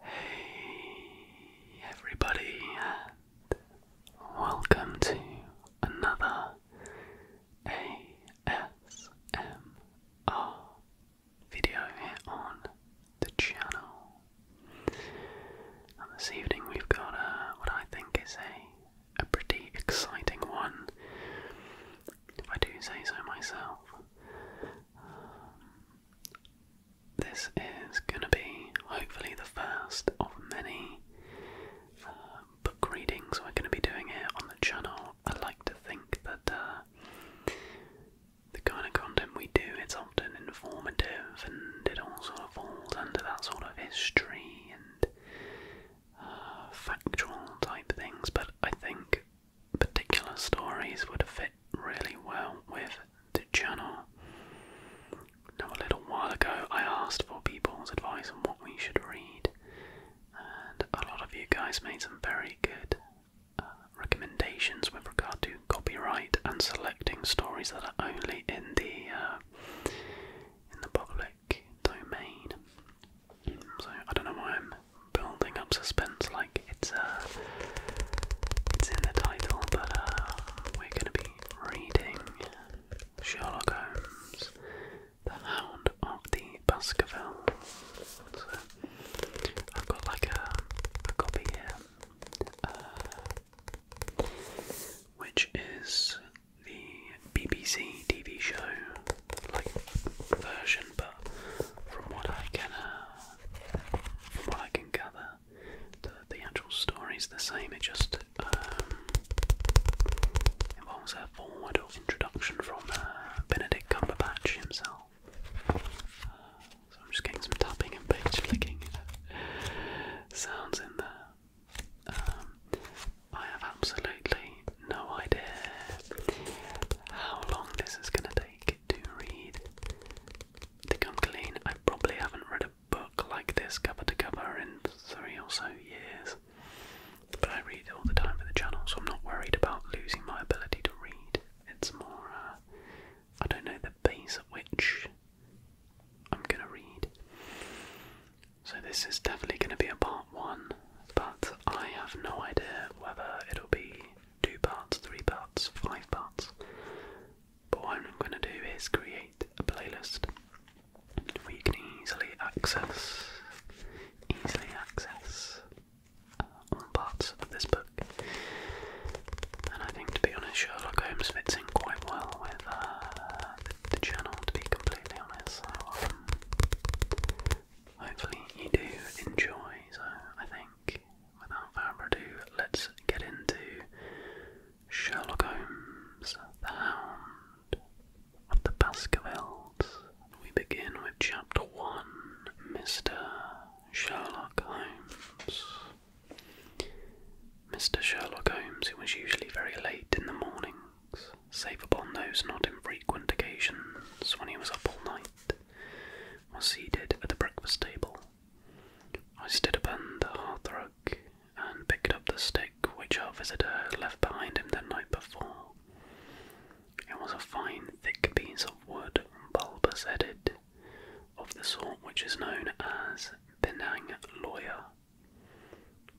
Hey everybody and welcome to another ASMR video on the channel. And this evening we've got a, uh, what I think is a, a pretty exciting one, if I do say so myself. Um, this is going to be hopefully the first of many um, book readings we're going to be doing here on the channel. I like to think that uh, the kind of content we do it's often informative and it also falls under that sort of history and uh, factual type things, but I think particular stories would fit really well with the channel. Now, a little while ago, I asked for people's advice on what we should read, and a lot of you guys made some very good uh, recommendations with regard to copyright and selecting stories that are only in the uh, in the public domain. So I don't know why I'm building up suspense like it's uh it's in the title, but uh we're gonna be reading Sherlock Holmes, The Hound of the Baskervilles. I've got like a, a copy uh, which is the BBC TV show like version, but from what I can, uh, from what I can gather, the actual story is the same. It just um, involves a forward or introduction from uh, Benedict Cumberbatch himself. Uh, so I'm just getting some tapping and page flicking uh, sounds in there. Um, I have absolutely no idea how long this is going to take to read think I'm clean. I probably haven't read a book like this cover to cover in three or so years. But I read all the time for the channel, so I'm not worried about losing my ability to read. It's more, uh, I don't know, the base at which I'm going to read. So this is definitely going to be a part one, but I have no idea whether it'll be two parts, three parts, five parts. But what I'm going to do is create a playlist where you can easily access, easily access uh, parts of this book. And I think, to be honest, Sherlock Holmes fits in quite well with uh, the, channel. To be completely honest, um, hopefully you do enjoy. So I think without further ado, let's get into Sherlock Holmes, the Hound of the Baskervilles. We begin with Chapter 1 Mr. Sherlock Holmes. Mr. Sherlock Holmes, who was usually very late in the mornings, save upon those not infrequent occasions when he was up all night, was seated at the breakfast table I stood upon the hearthrug and picked up the stick which our visitor had left behind him the night before. It was a fine, thick piece of wood, bulbous headed, of the sort which is known as Penang lawyer.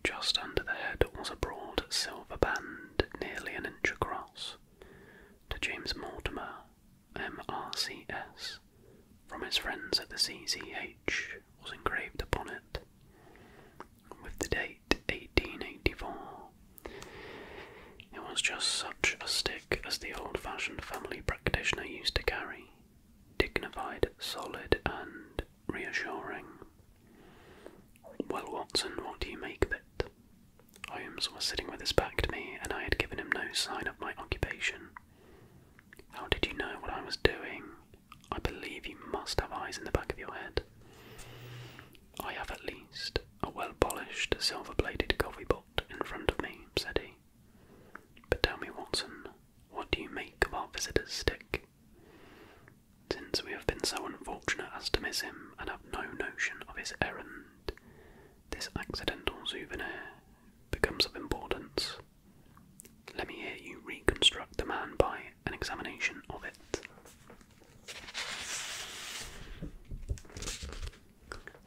Just under the head was a broad silver band, nearly an inch across. To James Mortimer, MRCS from his friends at the CCH was engraved upon it, with the date 1884. It was just such a stick as the old fashioned family practitioner used to carry, dignified, solid, and reassuring. Well, Watson, what do you make of it? Holmes was sitting with his back to me, and I had given him no sign of my occupation. How did you know what I was doing? I believe you must have eyes in the back of your head. I have at least a well polished silver plated coffee pot in front of me, said he. But tell me, Watson, what do you make of our visitor's stick? Since we have been so unfortunate as to miss him and have no notion of his errand, this accidental souvenir becomes of importance. Let me hear you reconstruct the man by an examination of it.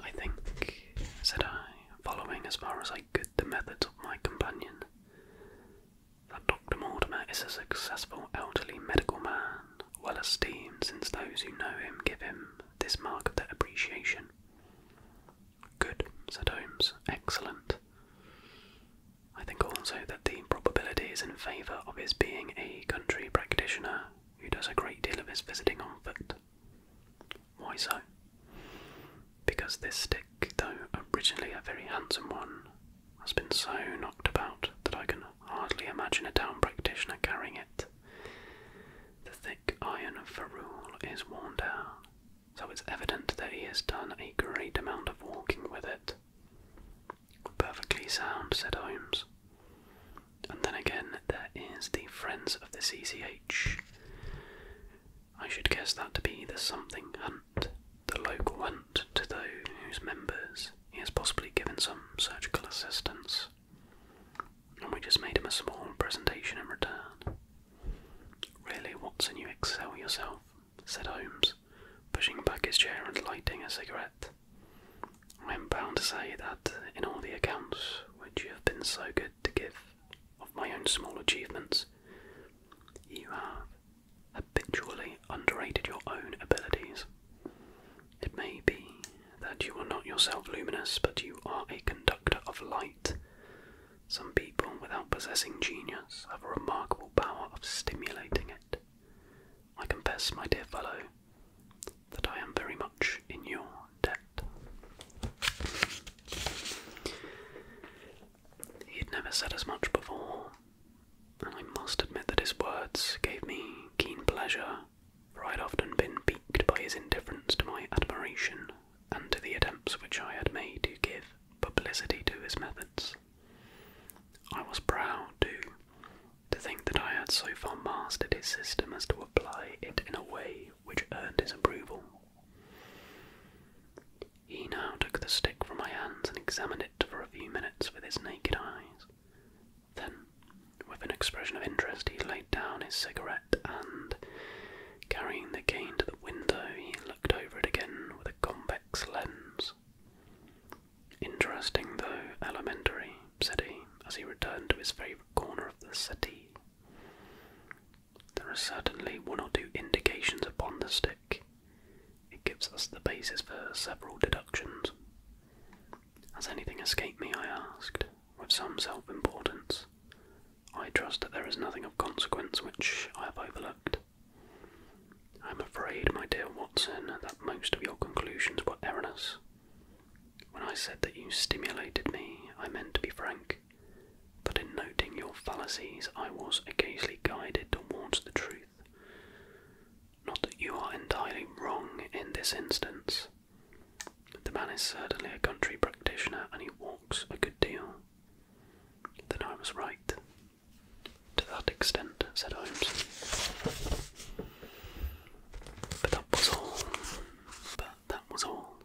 I think, said I, following as far as I could the methods of my companion, that Dr. Mortimer is a successful elderly medical man, well esteemed since those who know him give him this mark of their appreciation. Good, said Holmes. Excellent. I think also that the probability is in favour of his being a country practitioner who does a great deal of his visiting on foot. Why so? Because this stick, though originally a very handsome one, has been so knocked about that I can hardly imagine a town practitioner carrying it. The Iron of ferrule is worn down, so it's evident that he has done a great amount of walking with it. Perfectly sound, said Holmes. And then again, there is the Friends of the CCH. I should guess that to be the something hunt, the local hunt to those whose members he has possibly given some surgical assistance and we just made him a small presentation in return. Really, Watson, you excel yourself, said Holmes, pushing back his chair and lighting a cigarette. I am bound to say that in all the accounts which you have been so good to give of my own small achievements, you have habitually underrated your own abilities. It may be that you are not yourself luminous, but you are a conductor of light some people, without possessing genius, have a remarkable power of stimulating it. I confess, my dear fellow, that I am very much in your debt. He had never said as much before, and I must admit that his words gave me keen pleasure, for I had often been piqued by his indifference to my admiration and to the attempts which I had made to give publicity to his methods. I was proud, too, to think that I had so far mastered his system as to apply it in a way which earned his approval. He now took the stick from my hands and examined it for a few minutes with his naked eyes. Then, with an expression of interest, he laid down his cigarette and, carrying the cane to the window, he looked over it again with a convex lens. Interesting, though elementary, said he, as he returned to his favourite corner of the city. There are certainly one or two indications upon the stick. It gives us the basis for several deductions. Has anything escaped me? I asked, with some self importance. I trust that there is nothing of consequence which I have overlooked. I am afraid, my dear Watson, that most of your conclusions were erroneous. When I said that you stimulated me, I meant to be frank, but in noting your fallacies, I was occasionally guided towards the truth. Not that you are entirely wrong in this instance, the man is certainly a country practitioner and he walks a good deal. Then I was right. To that extent, said Holmes. But that was all. But that was all.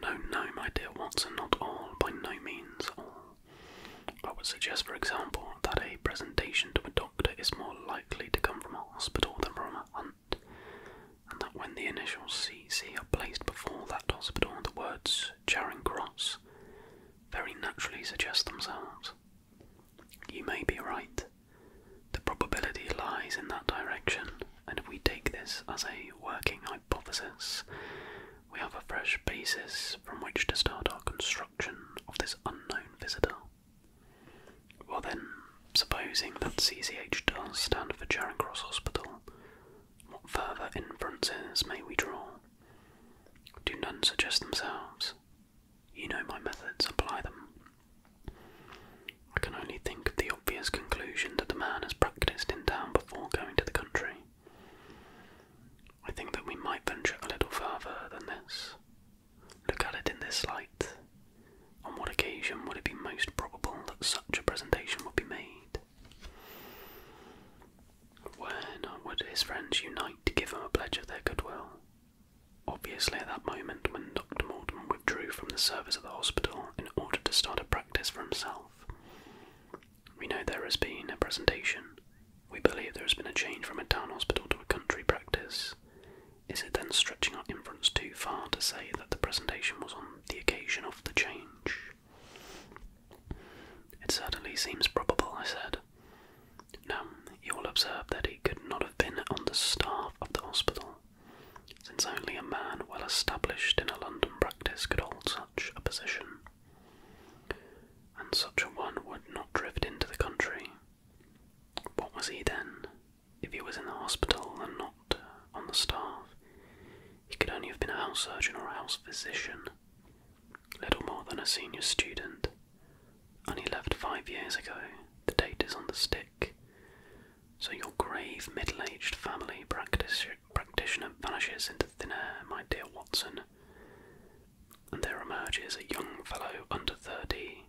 No, no, my dear Watson, not all, by no means all. I would suggest, for example, that a presentation to a doctor is more likely to come from a hospital than from a and that when the initials CC are placed before that hospital, the words Charing Cross very naturally suggest themselves. You may be right. The probability lies in that direction, and if we take this as a working hypothesis, we have a fresh basis from which to start our construction of this unknown visitor. Well, then, supposing that CCH does stand for Charing Cross Hospital, what further inferences may we draw? Do none suggest themselves? You know my methods, apply them. I can only think of the obvious conclusion that the man has practiced in town before going to the country. I think that we might venture a little further than this. Look at it in this light. On what occasion would it be most probable that such a presentation would be made? When would his friends unite to give him a pledge of their goodwill? Obviously, at that moment when Dr. Mortimer withdrew from the service of the hospital in order to start a practice for himself. We know there has been a presentation. We believe there has been a change from a town hospital to a country practice. Is it then stretching our inference too far to say that the presentation was on the occasion of the change? It certainly seems probable, I said. Now, you will observe that he could not have been on the staff of the hospital, since only a man well established in a London practice could hold such a position. And such a one would not drift into the country. What was he then, if he was in the hospital and not on the staff. He could only have been a house surgeon or a house physician, little more than a senior student. And he left five years ago. The date is on the stick. So your grave, middle-aged family practitioner vanishes into thin air, my dear Watson. And there emerges a young fellow under thirty,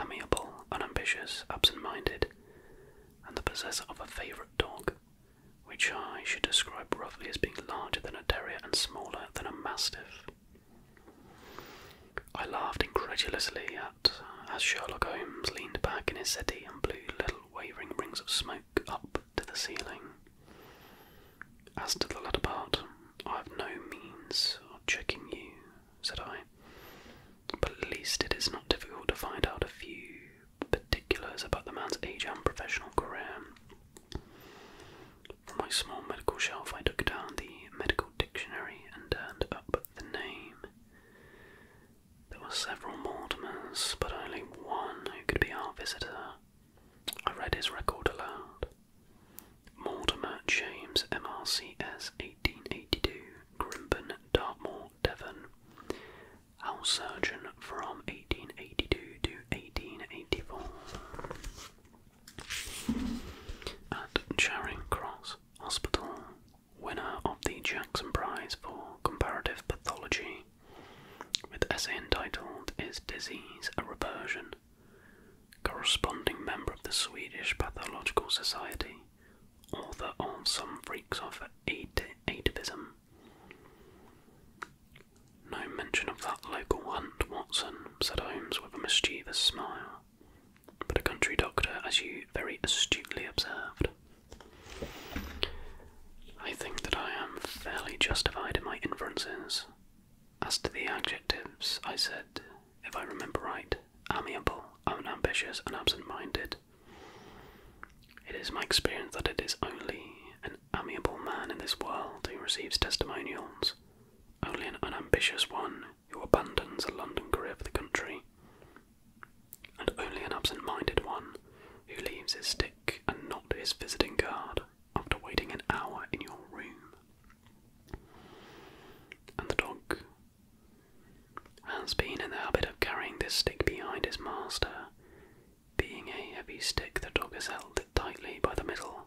amiable, unambitious, absent-minded, and the possessor of a favourite dog, which I should describe roughly as being larger than a terrier and smaller than a mastiff. I laughed incredulously at uh, as Sherlock Holmes leaned back in his settee and blew little wavering rings of smoke up to the ceiling. As to the latter part, I have no means of checking you, said I, but at least it is not difficult to find out a few particulars about the man's age and professional career. From my small medical shelf, I took down the medical dictionary and turned up the name. There were several Mortimers, but only one who could be our visitor. I read his record aloud. Mortimer James, MRCS 1882, Grimpen, Dartmoor, Devon, House surgeon from 1882 to 1884. At Charing Cross Hospital, winner of the Jackson Prize for Comparative Pathology, with essay entitled Is Disease a Reversion? Corresponding member of the Swedish Pathological Society, author of Some Freaks of Atavism no mention of that local hunt, Watson, said Holmes with a mischievous smile. But a country doctor, as you very astutely observed. I think that I am fairly justified in my inferences. As to the adjectives, I said, if I remember right, amiable, unambitious, and absent minded. It is my experience that it is only an amiable man in this world who receives testimonials, only an unambitious one who abandons a London career for the country, and only an absent minded one who leaves his stick and not his visiting card after waiting an hour in your room. And the dog has been in the habit of carrying this stick behind his master being a heavy stick, the dog has held it tightly by the middle,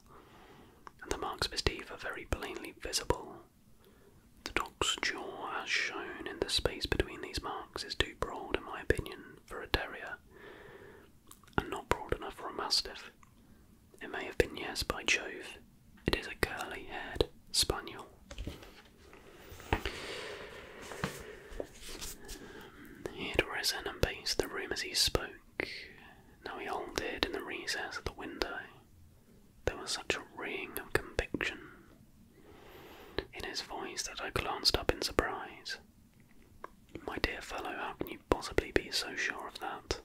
and the marks of his teeth are very plainly visible. The dog's jaw, as shown in the space between these marks, is too broad, in my opinion, for a terrier, and not broad enough for a mastiff. It may have been yes, by Jove. It is a curly haired spaniel. He had risen and paced the room as he spoke. Now he halted in the recess of the window. There was such a ring of conviction in his voice that I glanced up in surprise. My dear fellow, how can you possibly be so sure of that?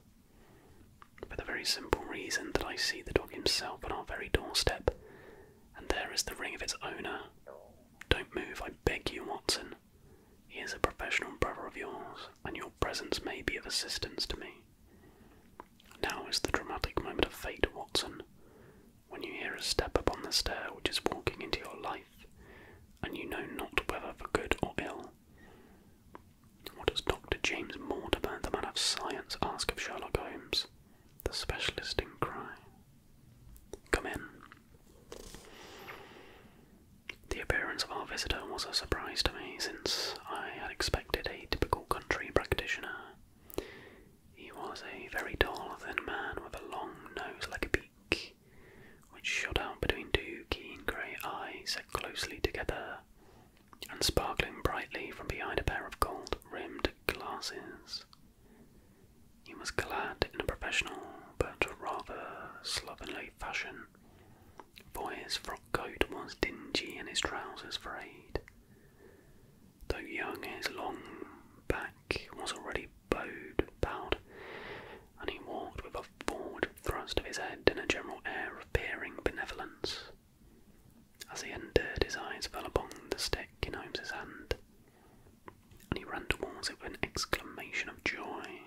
For the very simple reason that I see the dog himself on our very doorstep, and there is the ring of its owner, don't move, I beg you, Watson. He is a professional brother of yours, and your presence may be of assistance to me. Now is the dramatic moment of fate, Watson. When you hear a step upon the stair which is walking into your life, and you know not whether for good or ill. What does Dr. James Mortimer, the man of science, ask of Sherlock Holmes? the specialist in crime. Come in. The appearance of our visitor was a surprise to me, since I had expected a typical country practitioner. He was a very tall, thin man with a long nose like a beak, which shot out between two keen grey eyes set closely together and sparkling brightly from behind a pair of gold rimmed glasses. He was clad in a professional but rather slovenly fashion, for his frock coat was dingy and his trousers frayed. Though young, his long back was already bowed, bowed, and he walked with a forward thrust of his head and a general air of peering benevolence. As he entered, his eyes fell upon the stick in Holmes's hand and he ran towards it with an exclamation of joy.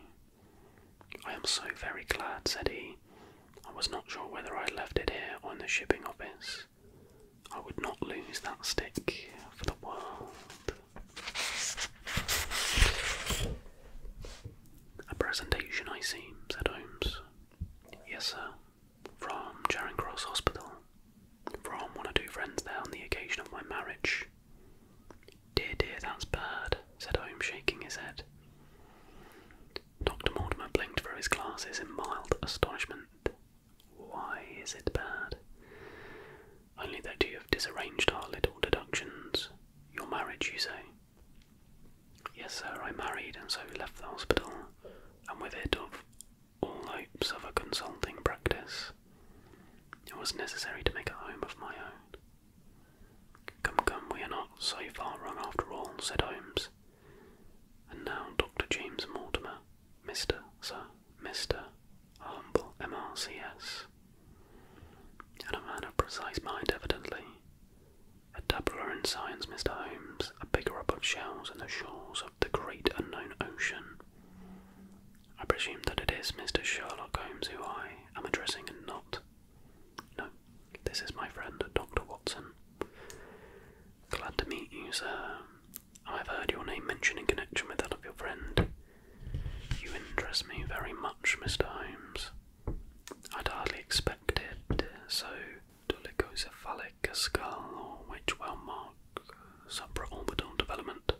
I am so very glad, said he. I was not sure whether I left it here or in the shipping office. I would not lose that stick for the world. A presentation, I see, said Holmes. Yes, sir. From Charing Cross Hospital from one or two friends there on the occasion of my marriage. Dear, dear, that's bad, said Holmes, shaking his head. Dr. Mortimer blinked through his glasses in mild astonishment. Why is it bad? Only that you have disarranged our little deductions. Your marriage, you say? Yes, sir, I married and so left the hospital, and with it of all hopes of a consulting practice. It was necessary to make a home of my own. Come, come, we are not so far wrong after all, said Holmes. And now Dr. James Mortimer, Mr. Sir, Mr. humble MRCS. And a man of precise mind, evidently. A doubler in science, Mr. Holmes, a picker up of shells in the shores of the great unknown ocean. I presume that it is Mr. Sherlock Holmes who I am addressing and not. No, this is my friend, Dr. Watson. Glad to meet you, sir. I've heard your name mentioned in connection with that of your friend. You interest me very much, Mr. Holmes. I'd hardly expect it. so dolichocephalic a skull, or which well marked supraorbital development.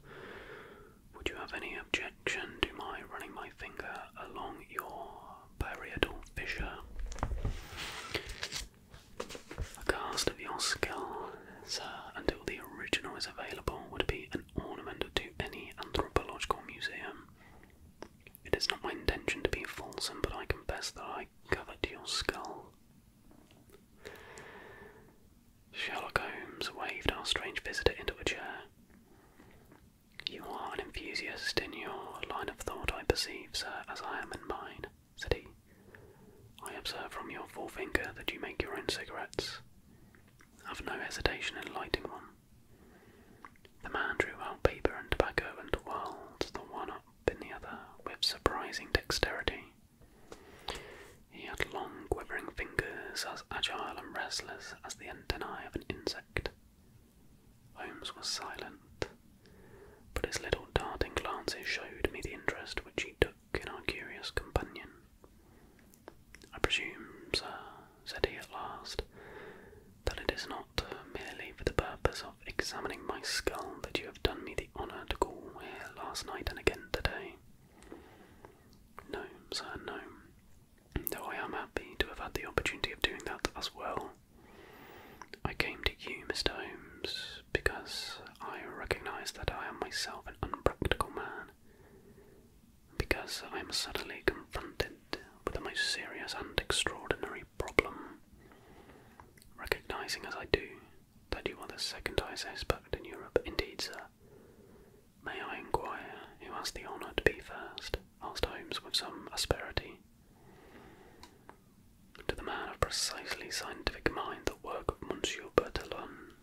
Would you have any objection to my running my finger along your parietal fissure? A cast of your skull, sir, until the original is available, would be an ornament to any anthropological museum. It is not my intention to be false, but I confess that I covet your skull. Sherlock Holmes waved our strange visitor into a chair. You are an enthusiast in your line of thought, I perceive, sir, as I am in mine, said he. I observe from your forefinger that you make your own cigarettes. Have no hesitation in lighting one. The man drew out paper and tobacco and whirled the one up in the other with surprising dexterity. He had long, quivering fingers as agile and restless as the antennae of an insect. Holmes was silent, but his little darting glances showed me the interest which he took in our curious companion. I presume, sir, said he at last, that it is not merely for the purpose of examining my skull that you have done me the honour to call here last night and again today. Gnomes are gnome. Though I am happy to have had the opportunity of doing that as well. I came to you, Mr. Holmes, because I recognise that I am myself an unpractical man. Because I am suddenly confronted with a most serious and extraordinary problem. Recognising as I do that you are the second highest expert in Europe. Indeed, sir. May I inquire who has the honour to be first? asked Holmes with some asperity. To the man of precisely scientific mind, the work of Monsieur Bertillon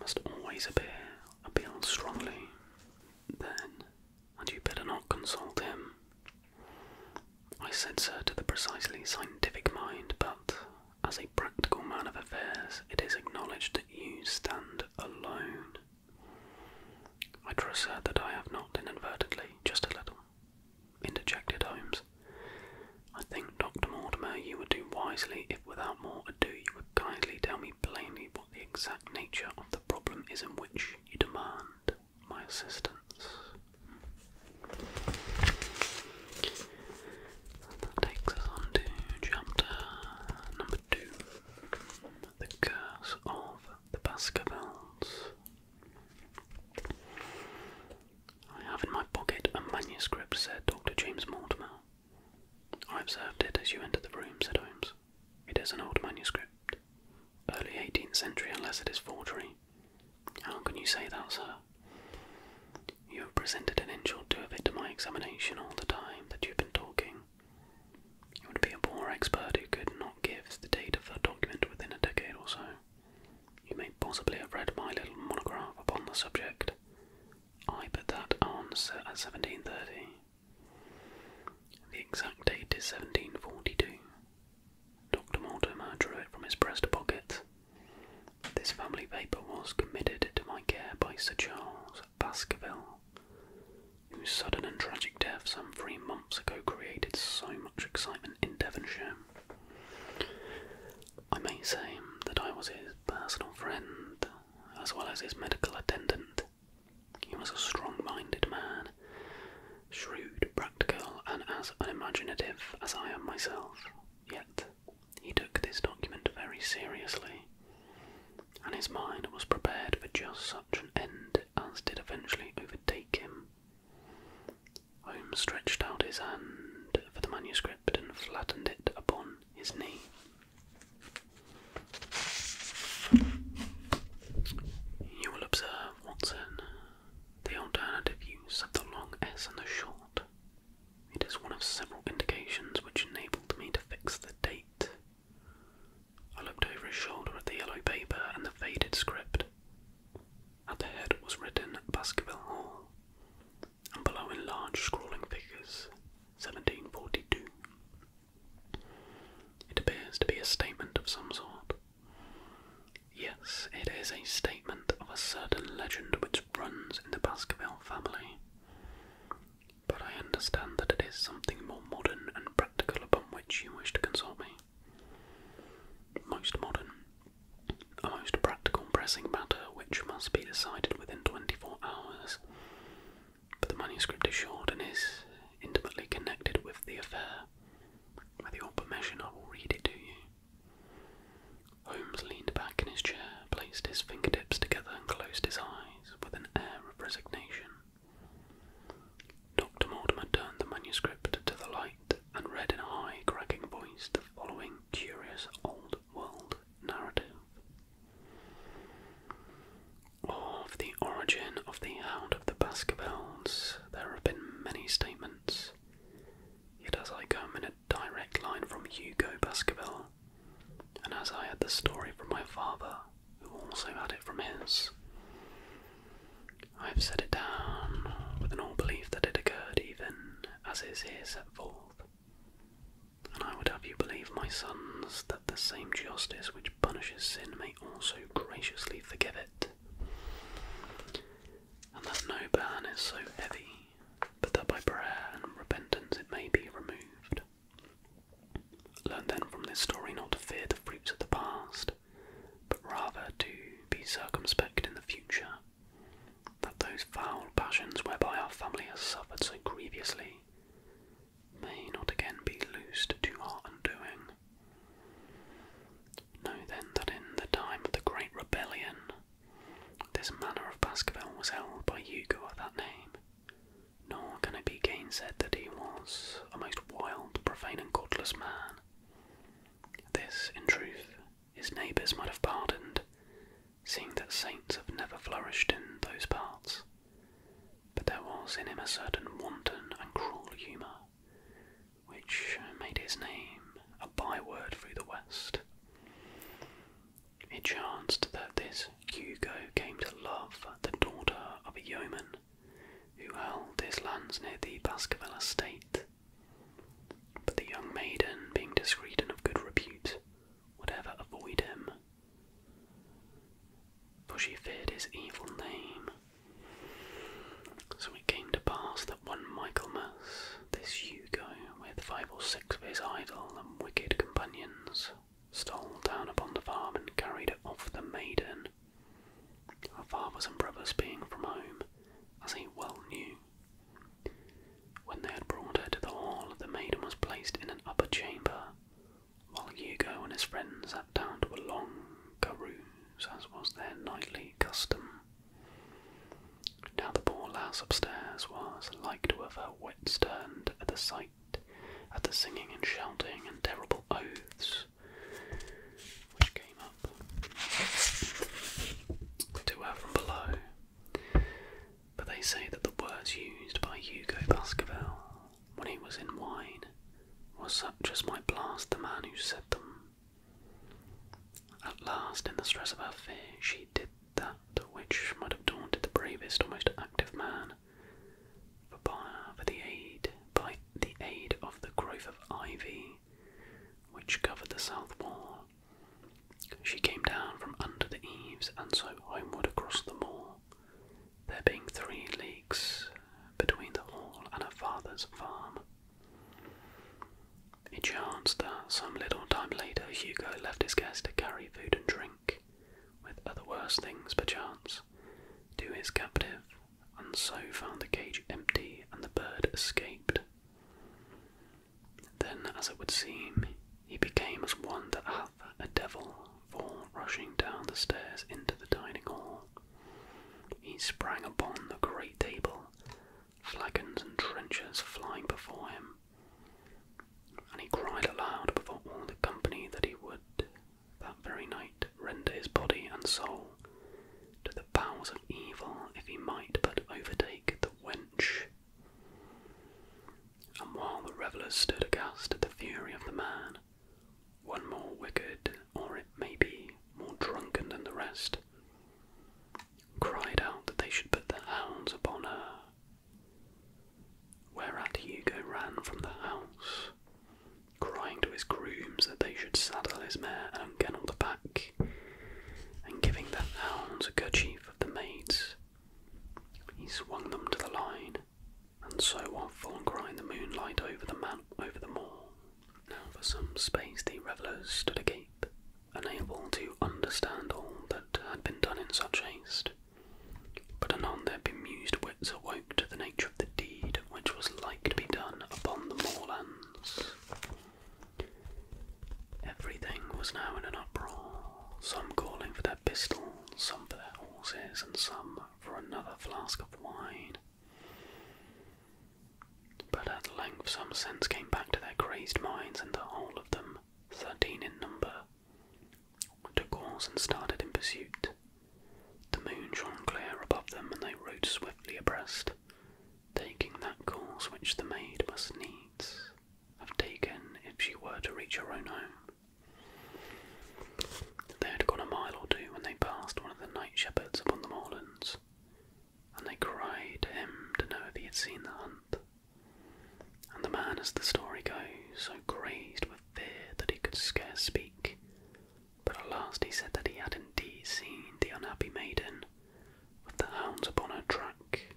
must always appear, appeal strongly. Then, had you better not consult him? I said, sir, to the precisely scientific mind, but as a practical man of affairs, it is acknowledged that you stand alone. I trust, sir, that I have not inadvertently, just a little, interjected Holmes. I think, Dr. Mortimer, you would do wisely if without more ado you would kindly tell me plainly what the exact nature of the problem is in which you demand my assistance takes us on to chapter number two The Curse of the Baskervilles. I have in my pocket a manuscript, said Dr. James Mortimer. I observed it as you entered the room, said Holmes. It is an old manuscript, early eighteenth century, unless it is forgery. How can you say that, sir? You have presented an inch or two of it to my examination all the time that you've been talking. You would be a poor expert who could not give the date of that document within a decade or so. You may possibly have read my little monograph upon the subject. I put that on set at 1730. The exact date is 1742. Dr. Mortimer drew it from his breast pocket this family paper was committed to my care by Sir Charles Baskerville, whose sudden and tragic death some three months ago created so much excitement in Devonshire. I may say that I was his personal friend, as well as his medical attendant. He was a strong minded man, shrewd, practical, and as unimaginative as I am myself. Yet he took this document very seriously, and his mind was prepared for just such an end as did eventually overtake him. Holmes stretched out his hand for the manuscript and flattened it upon his knee. You will observe, Watson, the alternative use of the long S and the short it is one of several indications which enabled me to fix the date. I looked over his shoulder at the yellow paper and the faded script. At the head was written Baskerville Hall, and below in large scrawling figures, 1742. It appears to be a statement of some sort. Yes, it is a statement of a certain legend which runs in the Baskerville family. But I understand that it is something more modern and practical upon which you wish to consult me. Most modern, a most practical pressing matter which must be decided within 24 hours. But the manuscript is short and is intimately connected with the affair. With your permission, I will read it to you. Holmes leaned back in his chair, placed his fingertips together, and closed his eyes with an air of resignation. Dr. Mortimer turned the manuscript to the light and read in a high, cracking voice the following curious old world narrative Of the origin of the Hound of the Baskervilles, there have been many statements. it as I come in a direct line from Hugo Baskerville, and as I had the story from my father, who also had it from his, I have set it down with an all belief that it occurred even as is here set forth. And I would have you believe, my sons, that the same justice which punishes sin may also graciously forgive it, and that no ban is so heavy but that by prayer and repentance it may be removed. Learn then from this story not to fear the fruits of the past, but rather to be circumspect in the future, that those foul passions whereby our family has suffered so grievously may not again be loosed to our undoing. Know then that in the time of the great rebellion, this manor of Baskerville was held by Hugo of that name, nor can it be gainsaid that he was a most wild, profane, and godless man. This, in truth, his neighbours might have pardoned, seeing that saints have never flourished in those parts. But there was in him a certain wanton and cruel humour, which made his name a byword through the West. It chanced that this Hugo came to love the daughter of a yeoman who held his lands near the Baskerville estate. But the young maiden, being discreet and of good repute, would ever avoid him, for she feared his evil name. So it came to pass that one Michaelmas, this Hugo, with five or six of his idle and wicked companions, stole down upon the farm and carried off the maiden. Her fathers and brothers being from home, as he well knew. When they had brought her to the hall, the maiden was placed in an upper chamber, while Hugo and his friends sat down to a long carouse, as was their nightly custom. Now the poor lass upstairs was like to have her wits turned at the sight, of the singing and shouting and terrible oaths which came up to her from below. But they say that the words used by Hugo Baskerville when he was in wine was such as might blast the man who said them. At last, in the stress of her fear, she did that which might have daunted the bravest or active man, for, for the aid by the aid of the growth of ivy which covered the south wall. She came down from under the eaves and so homeward across the moor, there being three leagues between the hall and her father's farm. It chanced that some little time later Hugo left his guest to carry food and drink with other worse things perchance, to his captive, and so found the cage empty and the bird escaped. Then, as it would seem, he became as one that hath a devil, for rushing down the stairs into the dining hall, he sprang upon the great table, flagons and trenchers flying before him, and he cried aloud before all the company that he would, that very night, render his body and soul to the powers of evil if he might but overtake the wench. And while the revellers stood aghast at the fury of the man, one more wicked, or it may be more drunken than the rest, cried out that they should put their hounds upon her Whereat Hugo ran from the house, crying to his grooms that they should saddle his mare and unkennel the pack, and giving the hounds a kerchief of the maids, he swung them to the line, and so off full crying the moonlight over the man over the moor. Now for some space the revellers stood agape, unable to understand all that had been done in such haste. But anon their bemused wits awoke to the nature of the deed which was like to be done upon the moorlands. Everything was now in an uproar, some calling for their pistols, some for their horses, and some for another flask of wine. But at length some sense came back to their crazed minds, and the whole of them, thirteen in number, took horse and started in pursuit. The moon shone clear above them, and they rode swiftly abreast, taking that course which the maid must needs have taken if she were to reach her own home. They had gone a mile or two when they passed one of the night shepherds upon the moorlands, and they cried to him to know if he had seen the hunt. And the man, as the story goes, so crazed with fear that he could scarce speak, but at last he said that he had indeed seen the unhappy maiden with the hounds upon her track.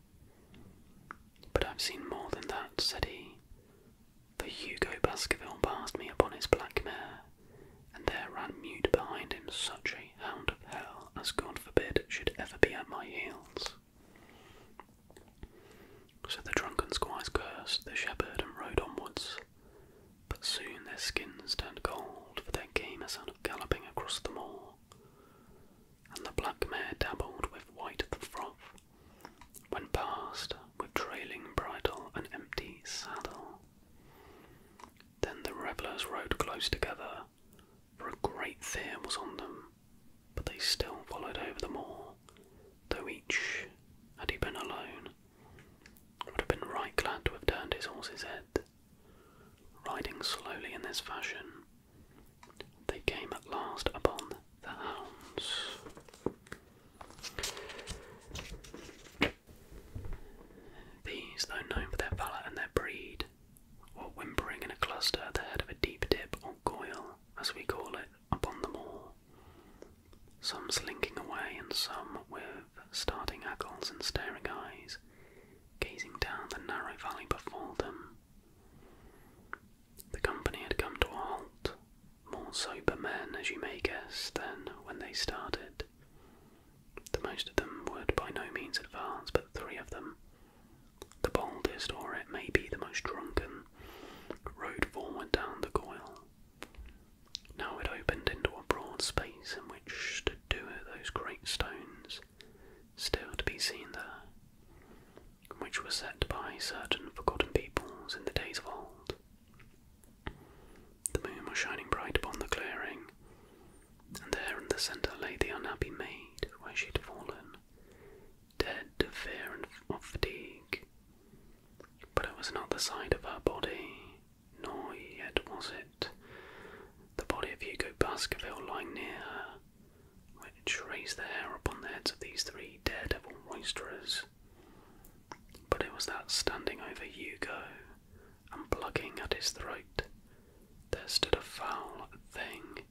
But I've seen more than that, said he, for Hugo Baskerville passed me upon his black mare, and there ran mute behind him such a hound of hell as God forbid should ever be at my heels. So the drunken squires cursed the shepherd and rode onwards, but soon their skins turned cold, for there came a sound of galloping across the moor, and the black mare dabbled with white the froth, when past with trailing bridle and empty saddle. Then the revellers rode close together, for a great fear was on them, but they still followed over the moor, though each, had he been alone, would have been right glad to have turned his horse's head. Riding slowly in this fashion, they came at last upon the hounds. These, though known for their valour and their breed, were whimpering in a cluster at the head of a deep dip or goyle, as we call it, upon them all, some slinking away and some with starting ackles and staring eyes, gazing down the narrow valley before them. The company had come to a halt, more sober men, as you may guess, than when they started. The most of them would by no means advance, but three of them, the boldest, or it may be the most drunken, rode forward down the coil. Now it opened into a broad space in which stood two of those great stones, still to be seen there, which were set by certain forgotten peoples in the days of old. The moon was shining bright upon the clearing, and there in the centre lay the unhappy maid where she had fallen, dead of fear and of fatigue. But it was not the sight of her body, nor yet was it the body of Hugo Baskerville lying near her, which raised the hair upon the heads of these three daredevil roisterers. But it was that standing over Hugo and plugging at his throat, there stood a foul thing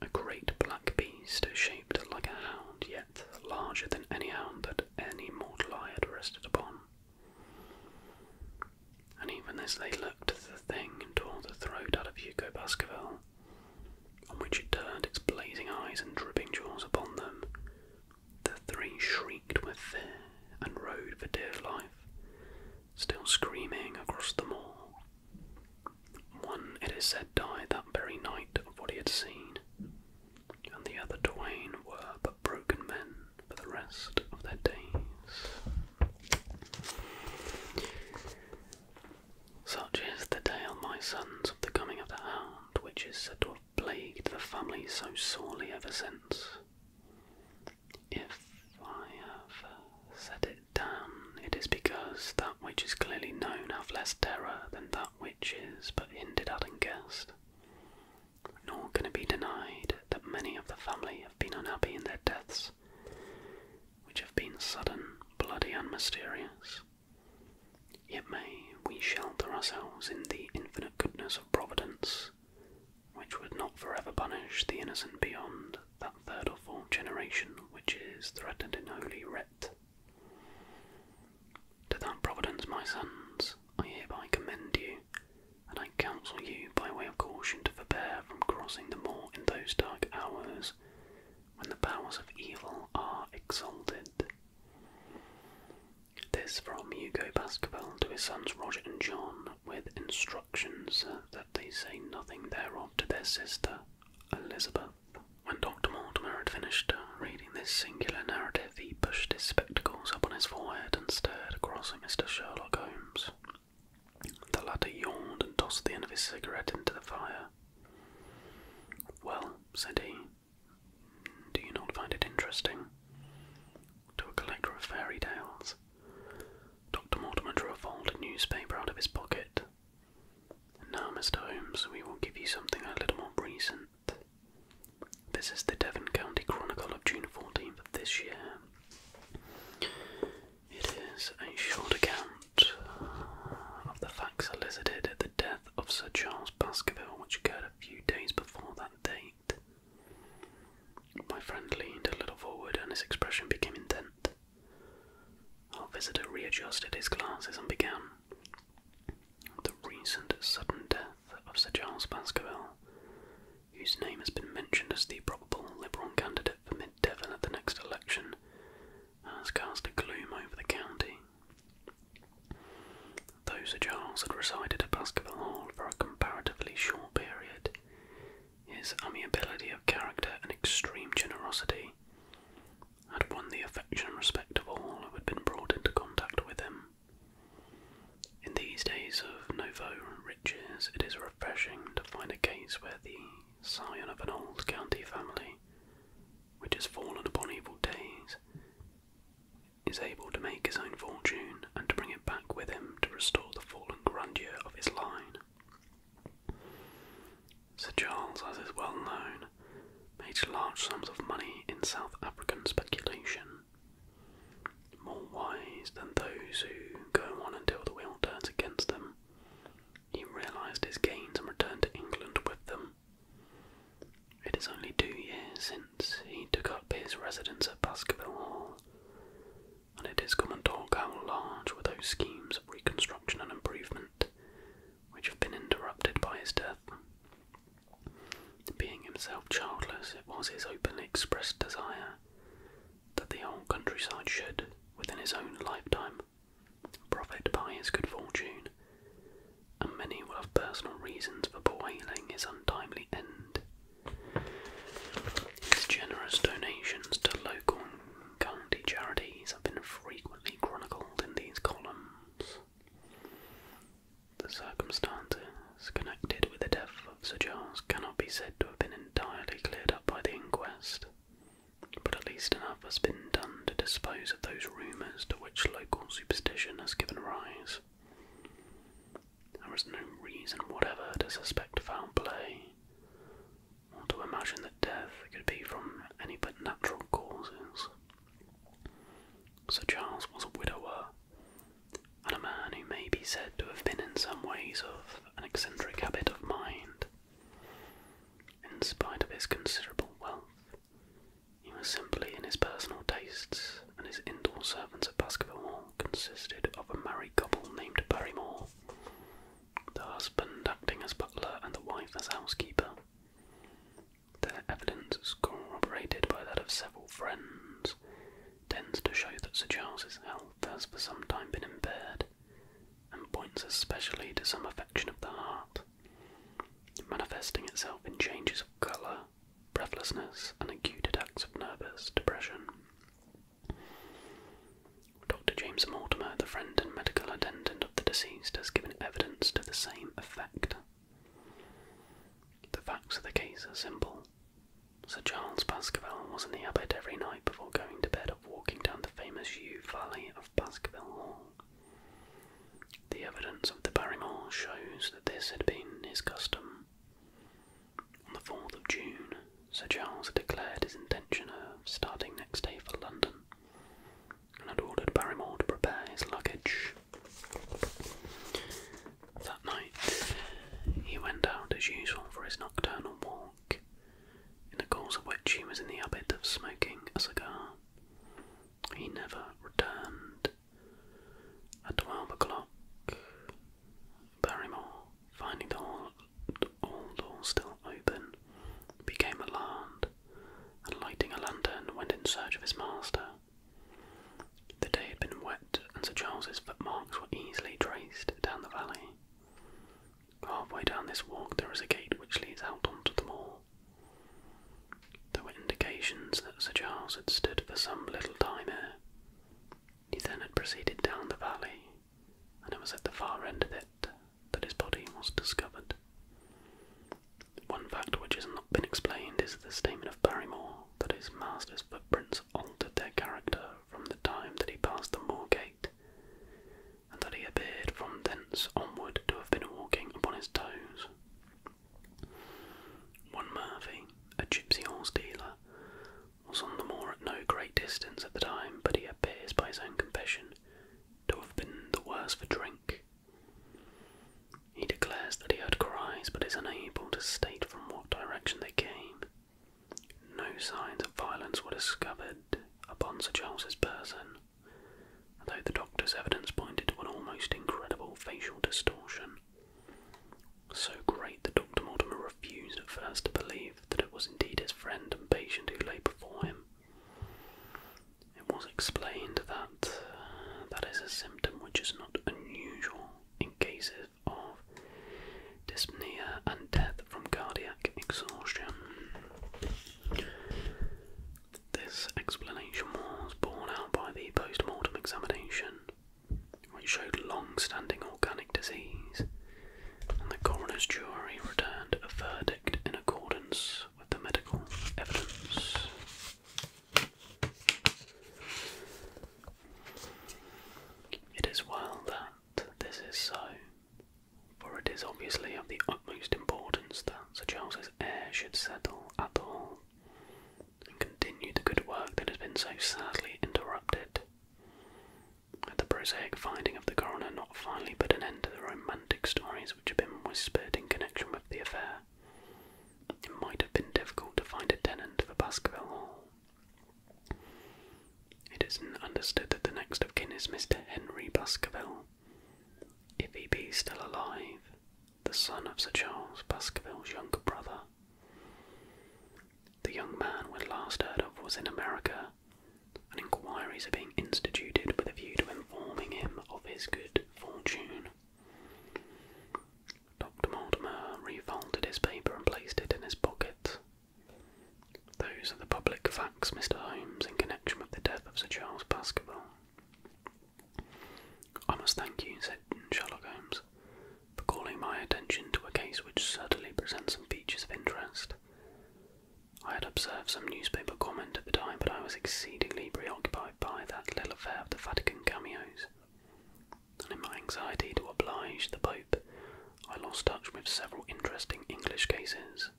a great black beast, shaped like a hound, yet larger than any hound that any mortal eye had rested upon. And even as they looked, the thing tore the throat out of Hugo Baskerville, on which it turned its blazing eyes and dripping jaws upon them. The three shrieked with fear and rode for dear life, still screaming across the moor. One, it is said, died that very night of what he had seen, and the other twain were but broken men for the rest of their days. Such is the tale, my sons, of the coming of the hound, which is said to have plagued the family so sorely ever since. If I have said it um, it is because that which is clearly known have less terror than that which is but hinted at and guessed. Nor can it be denied that many of the family have been unhappy in their deaths, which have been sudden, bloody, and mysterious. Yet may we shelter ourselves in the infinite goodness of Providence, which would not forever punish the innocent beyond that third or fourth generation which is threatened in Holy Writ. To that providence, my sons, I hereby commend you, and I counsel you by way of caution to forbear from crossing the moor in those dark hours when the powers of evil are exalted. This from Hugo Baskerville to his sons Roger and John, with instructions that they say nothing thereof to their sister Elizabeth. When Dr. Mortimer had finished uh, reading this singular narrative, he pushed his spectacles up on his forehead and stared across at Mr. Sherlock Holmes. The latter yawned and tossed the end of his cigarette into the fire. Well, said he, do you not find it interesting? To a collector of fairy tales. Dr. Mortimer drew a folded newspaper out of his pocket now, Mr. Holmes, we will give you something a little more recent. This is the Devon County Chronicle of June 14th of this year. It is a short account of the facts elicited at the death of Sir Charles Baskerville, which occurred a few days before that date. My friend leaned a little forward and his expression became intent. Our visitor readjusted his glasses and began. The recent sudden death of Sir Charles Baskerville, whose name has been mentioned as the probable Liberal candidate for Mid Devon at the next election, has cast a gloom over the county. Those Sir Charles had resided at Baskerville Hall for a comparatively short period, his amiability of character and extreme generosity had won the affection and respect of all who had been brought into contact with him. In these days of nouveau riches, it is refreshing to find a case where the scion of an old county family, which has fallen upon evil days, is able to make his own fortune and to bring it back with him to restore the fallen grandeur of his line. Sir Charles, as is well known, made large sums of money in South African speculation, more wise than those who go on until the wheel turns against them. He realised his gains and returned to England with them. It is only two years since he took up his residence at Baskerville Hall, and it is common talk how large were those schemes of reconstruction and improvement which have been interrupted by his death. Being himself childless, it was his openly expressed desire that the whole countryside should, within his own lifetime, profit by his good fortune, and many will have personal reasons for bewailing his untimely end. His generous donations to local county charities have been frequently chronicled in these columns. The circumstances connected with the death of Sir Charles cannot be said to have been entirely cleared up by the inquest, but at least enough has been done to dispose of those rumours to which local superstition has given rise. There is no reason whatever to suspect foul play, or to imagine that death could be from any but natural causes. Sir Charles was a widower and a man who may be said to have been in some ways of an eccentric habit of mind. In spite of his considerable wealth, he was simply in his personal tastes, and his indoor servants at Baskerville Hall consisted of a married couple named Barrymore, the husband acting as butler and the wife as housekeeper. The evidence is corroborated by that of several friends, tends to show that Sir Charles's health has for some time been impaired, and points especially to some affection of the heart, manifesting itself in changes of colour, breathlessness, and acute attacks of nervous depression. Dr. James Mortimer, the friend and medical attendant of the deceased, has given evidence to the same effect. The facts of the case are simple. Sir Charles Baskerville was in the abbey every night before going to bed of walking down the famous U valley of Baskerville Hall. The evidence of the Barrymore shows that this had been his custom. On the 4th of June, Sir Charles had declared his intention of starting next day for London, and ordered Barrymore to prepare his luggage. That night, he went out as usual for his nocturnal walk, in the course of which he was in the habit of smoking a cigar. He never returned. At twelve o'clock, Barrymore, finding the hall, all doors still open, became alarmed and lighting a lantern went in search of his master. The day had been wet, and Sir Charles's footmarks were easily traced down the valley. Halfway down this walk there is a gate which leads out onto the moor. There were indications that Sir Charles had stood for some little time here. He then had proceeded down the valley, and it was at the far end of it that his body was discovered. One fact which has not been explained is the statement of Barrymore that his master's footprints altered their character from the time that he passed the moor gate, and that he appeared from thence onward to have been walking upon his toes. One Murphy, a gipsy horse dealer, was on the moor at no great distance at the time, but he appears by his own confession to have been the worse for drink he declares that he heard cries but is unable to state from what direction they came. No signs of violence were discovered upon Sir Charles's person, though the doctor's evidence pointed to an almost incredible facial distortion. So great that Dr. Mortimer refused at first to believe that it was indeed his friend and patient who lay before him. It was explained that uh, that is a symptom which is not unusual in cases of dyspnea and death from cardiac exhaustion. This explanation was borne out by the post mortem examination, which showed long standing organic disease, and the coroner's jury returned a verdict in accordance with the medical evidence. It is well that this is so, for it is obviously of the utmost importance that Sir Charles's heir should settle at all and continue the good work that has been so sadly interrupted. Had the prosaic finding of the coroner not finally put an end to the romantic stories which have been whispered in connection with the affair. It might have been difficult to find a tenant for Baskerville Hall. It is understood that the next of kin is Mr. Henry Baskerville. If he be still alive, the son of Sir Charles Baskerville's younger brother. The young man when last heard of was in America, and inquiries are being instituted with a view to informing him of his good fortune. Dr. Mortimer refolded his paper and placed it in his pocket. Those are the public facts, Mr. Holmes, in connection with the death of Sir Charles Baskerville. I must thank you, said Sherlock Holmes, for calling my attention to a case which certainly presents some features of interest. I had observed some newspaper comment at the time, but I was exceedingly preoccupied by that little affair of the Vatican cameos. And in my anxiety to oblige the Pope, I lost touch with several interesting English cases.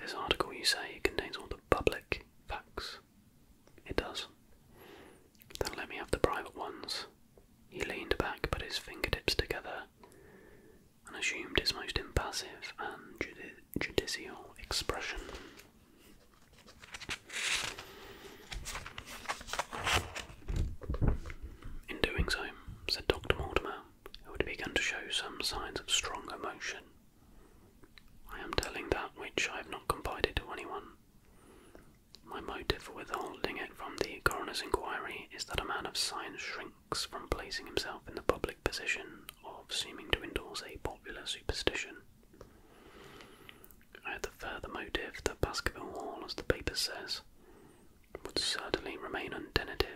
This article, you say, contains all the public facts. It does. Then let me have the private ones. He leaned back, put his fingertips together, and assumed his most impassive and judicial expression. In doing so, said Dr. Mortimer, who had begun to show some signs of strong emotion, I am telling that which I have not confided to anyone. My motive for withholding it from the coroner's inquiry is that a man of science shrinks from placing himself in the public position of seeming to endorse a popular superstition. Uh, the further motive that Baskerville Hall, as the paper says, would certainly remain untenanted,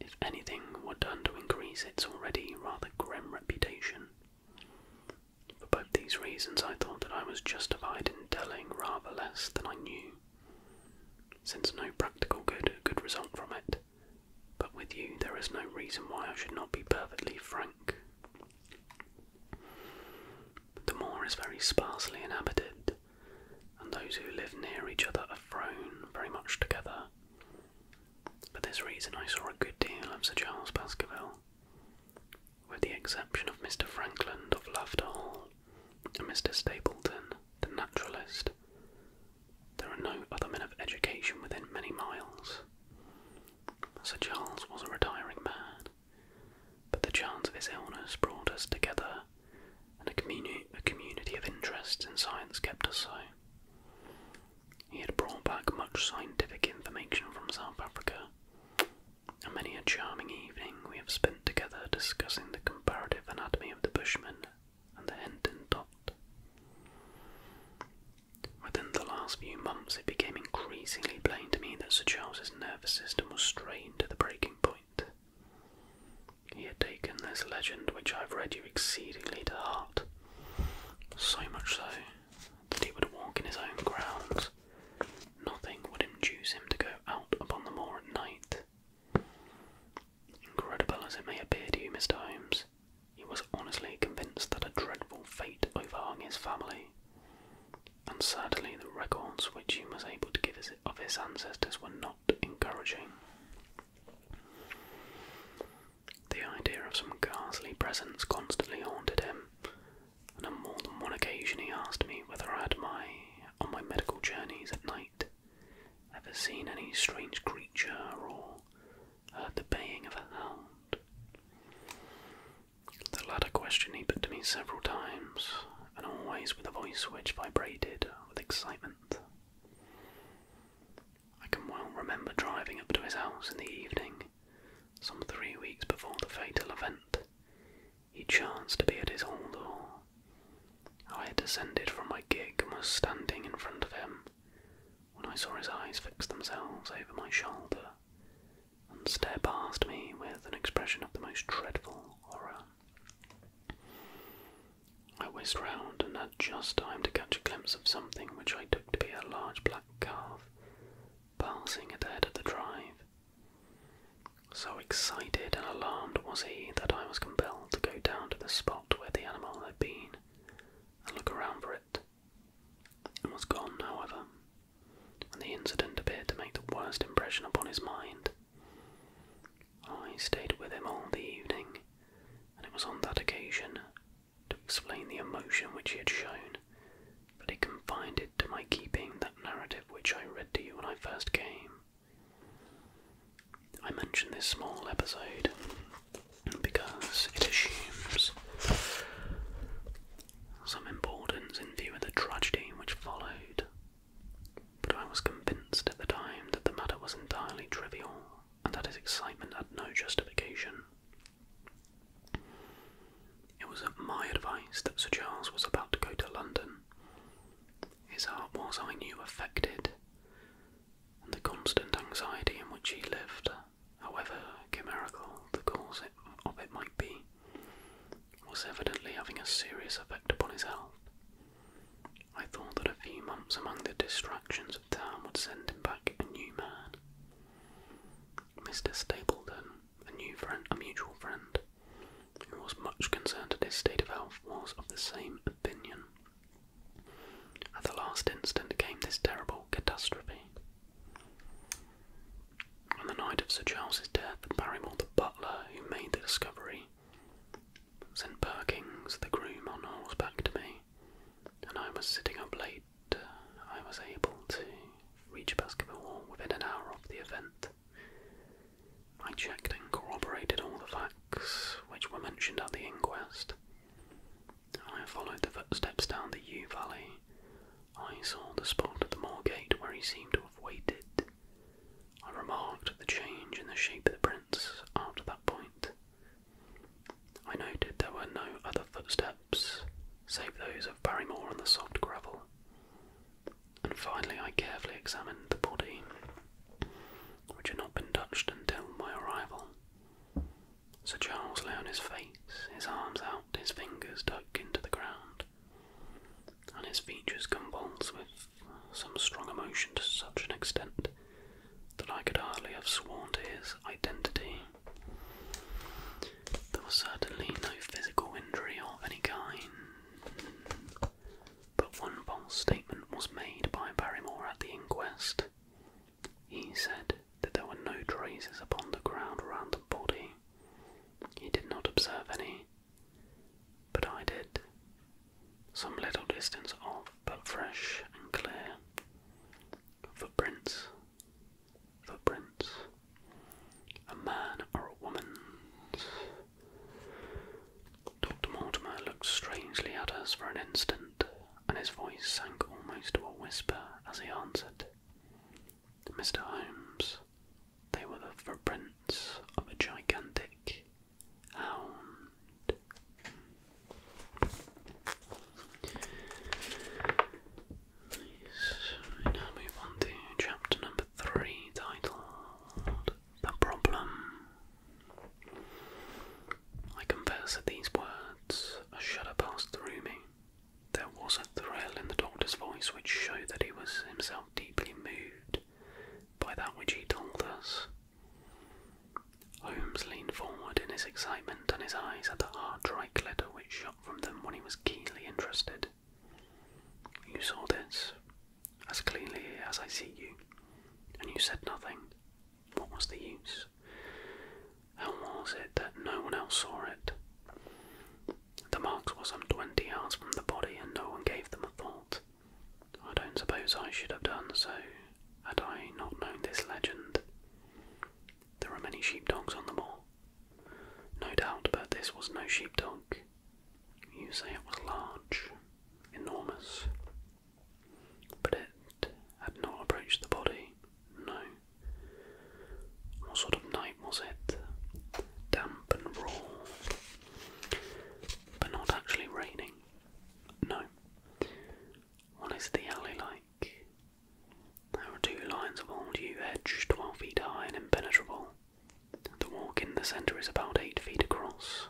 if anything were done to increase its already rather grim reputation. For both these reasons, I thought that I was justified in telling rather less than I knew, since no practical good could result from it. But with you, there is no reason why I should not be perfectly frank. The moor is very sparsely inhabited, and those who live near each other are thrown very much together. For this reason, I saw a good deal of Sir Charles Baskerville, with the exception of Mr. Frankland of Laughter Hall and Mr. Stapleton, the naturalist, there are no other men of education within many miles. Sir Charles was a retiring man, but the chance of his illness brought us together, and a, communi a community of interests in science kept us so. He had brought back much scientific information from South Africa, and many a charming evening we have spent together discussing the comparative anatomy of the Bushman and the Henton Dot. Within the last few months, it became increasingly plain to me that Sir Charles's nervous system was strained to the breaking point. He had taken this legend, which I've read you exceedingly to heart, so much so that he would walk in his own grounds. Nothing would induce him to go out upon the moor at night. Incredible as it may appear to you, Mr. Holmes, he was honestly convinced that a dreadful fate overhung his family, and certainly the records which he was able to give his, of his ancestors were not encouraging. The idea of some ghastly presence constantly haunted him, and on more than one occasion he asked me whether I had my on my medical journeys at night ever seen any strange creature or heard the baying of a hound. The latter question he put to me several times, and always with a voice which vibrated with excitement. I can well remember driving up to his house in the evening, some three weeks before the fatal event. He chanced to be at his hall door. I had descended from my gig and was standing in front of him when I saw his eyes fix themselves over my shoulder and stare past me with an expression of the most dreadful horror. I whizzed round and had just time to catch a glimpse of something which I took to be a large black calf passing at the head of the drive. So excited and alarmed was he that I was compelled to go down to the spot where the animal had been and look around for it. It was gone, however, and the incident appeared to make the worst impression upon his mind. I stayed with him all the evening, and it was on that occasion, to explain the emotion which he had shown, that he confided to my keeping that narrative which I read to you when I first came. I mention this small episode because it assumes some importance in view of the tragedy which followed, but I was convinced at the time that the matter was entirely trivial and that his excitement had no justification. It was at my advice that Sir Charles was about to go to London. His heart was, I knew, affected, and the constant anxiety in which he lived, however chimerical the cause of it might be, was evidently having a serious effect upon his health. I thought that a few months among the distractions of town would send him back a new man. Mr. Stapleton, a new friend, a mutual friend, who was much concerned at his state of health, was of the same opinion. At the last instant came this terrible catastrophe. On the night of Sir Charles's death, Barrymore the butler, who made the discovery, sent Perkins the groom on horseback to me, and I was sitting up late. I was able to reach Baskerville Hall within an hour of the event. I checked and corroborated all the facts which were mentioned at the inquest. I followed the footsteps down the Yew Valley. I saw the spot at the moor gate where he seemed to have waited. I remarked the change in the shape of the prints after that point. I noted there were no other footsteps save those of Barrymore on the soft gravel. And finally, I carefully examined the body, which had not been touched until my arrival. Sir Charles lay on his face, his arms out, his fingers dug into the ground, and his features convulsed with some strong emotion to such an extent that I could hardly have sworn to his identity. There was certainly no physical injury of any kind, but one false statement was made by Barrymore at the inquest. He said that there were no traces upon the ground around the body. He did not observe any, but I did. Some little distance off, but fresh and clear. Footprints. Footprints. A man or a woman. Dr. Mortimer looked strangely at us for an instant, and his voice sank almost to a whisper as he answered, Mr. Holmes, they were the footprints of a gigantic hound. We now move on to chapter number three, titled The Problem. I confess that these words, a shudder passed through me. There was a thrill in the doctor's voice which showed that he was himself deeply moved by that which he told us. Holmes leaned forward in his excitement, and his eyes had the hard, dry glitter which shot from them when he was keenly interested. You saw this as clearly as I see you, and you said nothing. What was the use? How was it that no one else saw it? The marks were some twenty yards from the body, and no one gave them a thought. I don't suppose I should have done so had I not known this legend. There are many sheep dogs on the moor. No doubt, but this was no sheep dog. You say it was large, enormous, but it had not approached the body, no. What sort of night was it? Damp and raw, but not actually raining, no. What is the alley like? There are two lines of old yew hedge, twelve feet high and impenetrable. The walk in the centre is about eight feet across.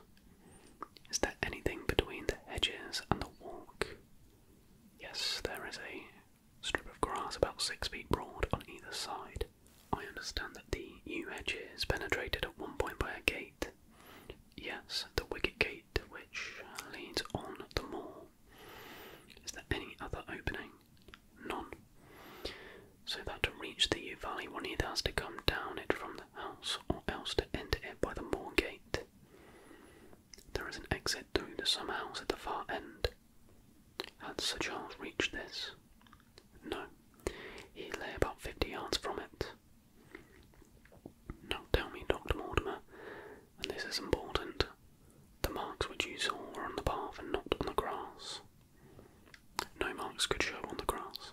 Is there anything between the hedges and the walk? Yes, there is a strip of grass about six feet broad on either side. I understand that the yew hedge is penetrated at one point by a gate. Yes, the wicket gate which leads on the moor. Is there any other opening? None. So that to reach the yew valley one either has to come down it from the house or else to enter it by the moor gate. There is an exit through the summer house at the far end. Had Sir Charles reached this? No. He lay about fifty yards from it. Now tell me, Dr. Mortimer, and this is important, the marks which you saw were on the path and not on the grass. No marks could show on the grass.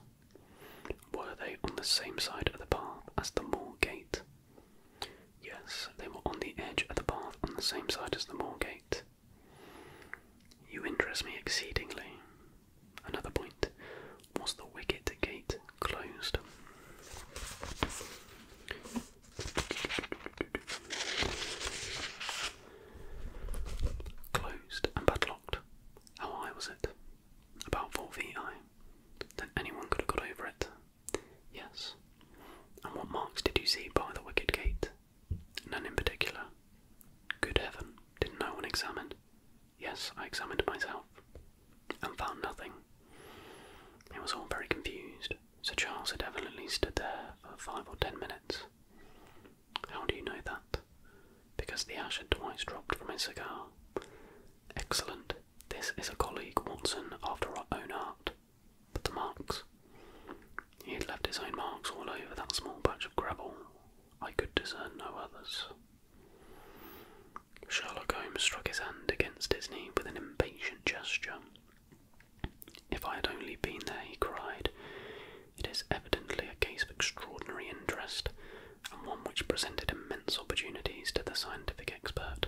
Were they on the same side of the path as the moor gate? Yes, they were on the edge of the path on the same side as the moor gate. You interest me exceedingly. Another point was the wicket gate closed. Closed and padlocked. How high was it? About four feet high. Then anyone could have got over it. Yes. And what marks did you see by the wicket gate? None in particular. Good heaven, did no one examine? Yes, I examined myself, and found nothing. It was all very confused. Sir Charles had evidently stood there for five or ten minutes. How do you know that? Because the ash had twice dropped from his cigar. Excellent, this is a colleague, Watson, after our own art. But the marks. He had left his own marks all over that small patch of gravel. I could discern no others. Sherlock Holmes struck his hand against his knee with an impatient gesture. If I had only been there, he cried, it is evidently a case of extraordinary interest, and one which presented immense opportunities to the scientific expert.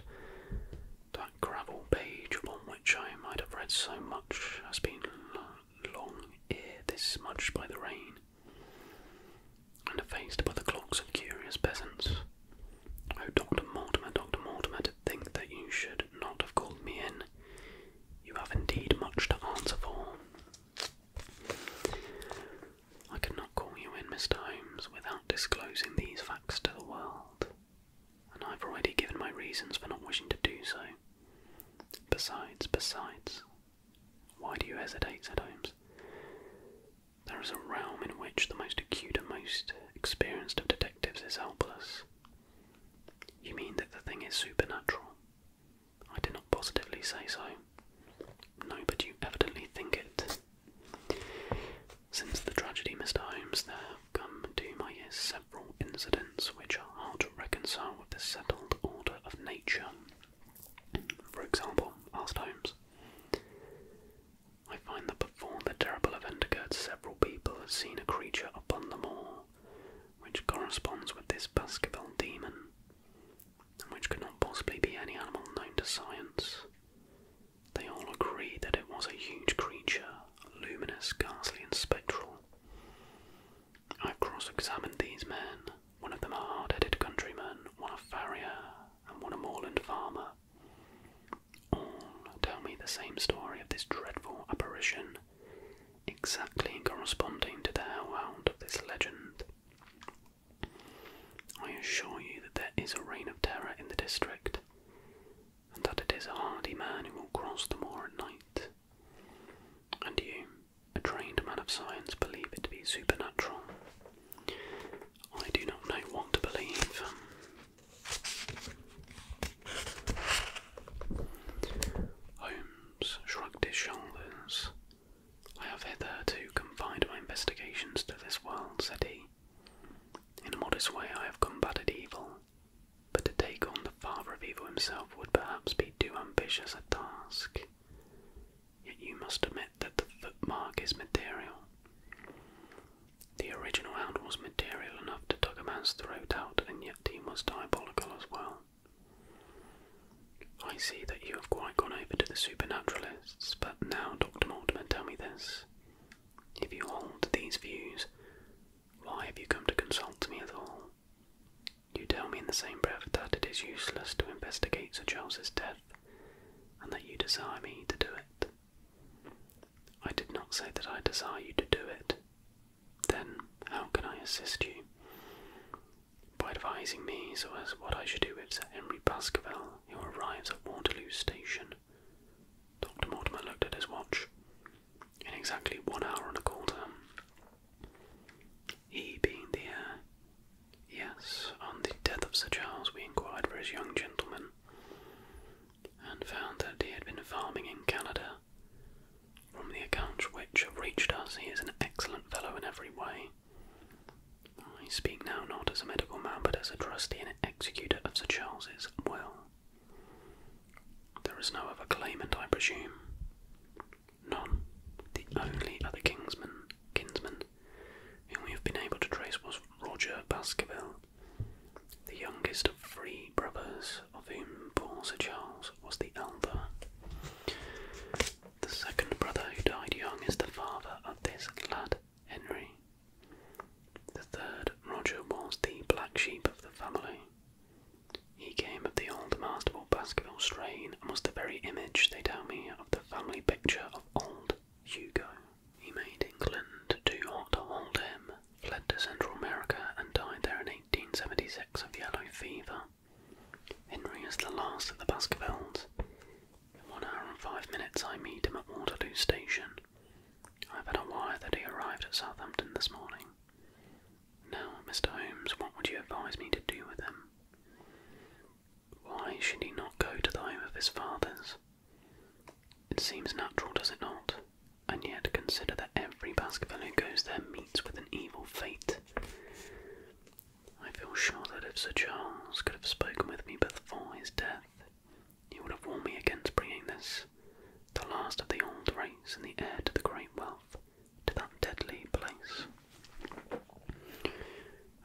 That gravel page upon which I might have read so much has been long ere this by the rain, and effaced by the clocks of curious peasants. Oh, Dr. Mortimer, Dr. Mortimer, to think that you should not have called me in. You have indeed much to answer for. I could not call you in, Mr. Holmes, without disclosing these facts to the world, and I've already given my reasons for not wishing to do so. Besides, besides, why do you hesitate? said Holmes. There is a realm in which the most acute and most experienced of detectives is helpless. You mean that the thing is supernatural? I did not positively say so. No, but you evidently think it. Since the tragedy, Mr. Holmes, there have come to my ears several incidents which are hard to reconcile with the settled order of nature. For example, asked Holmes, I find that before the terrible event occurred, several people had seen a creature upon the moor, which corresponds with this Baskerville demon, and which could not possibly be any animal known to science. They all agree that it was a huge creature, luminous, ghastly, and spectral. I've cross examined these men, one of them a hard headed countryman, one a farrier, and one a moorland farmer. All tell me the same story of this dreadful apparition, exactly corresponding to the hellhound of this legend. I assure you that there is a reign of terror in the district and that it is a hardy man who will cross the moor at night. And you, a trained man of science, believe it to be supernatural. I do not know what to believe. Holmes shrugged his shoulders. I have hitherto confined my investigations to this world, said he. In a modest way, I have combated evil, but to take on the father of evil himself would perhaps be too ambitious a task. Yet you must admit that the footmark is material. The original hound was material enough to tug a man's throat out, and yet he was diabolical as well. I see that you have quite gone over to the supernaturalists, but now, Dr. Mortimer, tell me this. If you hold these views, why have you come to consult me at all? You tell me in the same breath that it is useless to investigate Sir Charles's death, and that you desire me to do it. I did not say that I desire you to do it. Then how can I assist you? By advising me as to what I should do with Sir Henry Baskerville, who arrives at Waterloo Station. Dr. Mortimer looked at his watch. In exactly one hour and a quarter. He being the heir. Yes, on the death of Sir Charles, we inquired for his young gentleman and found that he had been farming in Canada. From the accounts which have reached us, he is an excellent fellow in every way. I speak now not as a medical man, but as a trustee in executor of Sir Charles's will. There is no other claimant, I presume. None. The only other kingsman, kinsman whom we have been able to trace was Roger Baskerville, the youngest of three brothers, of whom poor Sir Charles was the elder. The second brother who died young is the father of this lad. Henry. The third Roger was the black sheep of the family. He came of the old Masterful Baskerville strain and was the very image, they tell me, of the family picture of old Hugo. He made England too hot to hold him, fled to Central America, and died there in 1876 of yellow fever. Henry is the last of the Baskervilles. In one hour and five minutes I meet him at Waterloo Station. I've had a wire that he arrived at Southampton this morning. Now, Mr. Holmes, what would you advise me to do with him? Why should he not go to the home of his fathers? It seems natural, does it not? And yet consider that every Baskerville who goes there meets with an evil fate. I feel sure that if Sir Charles could have spoken with me before his death, he would have warned me against bringing this, the last of the old race and the heir to the great wealth, to that deadly place.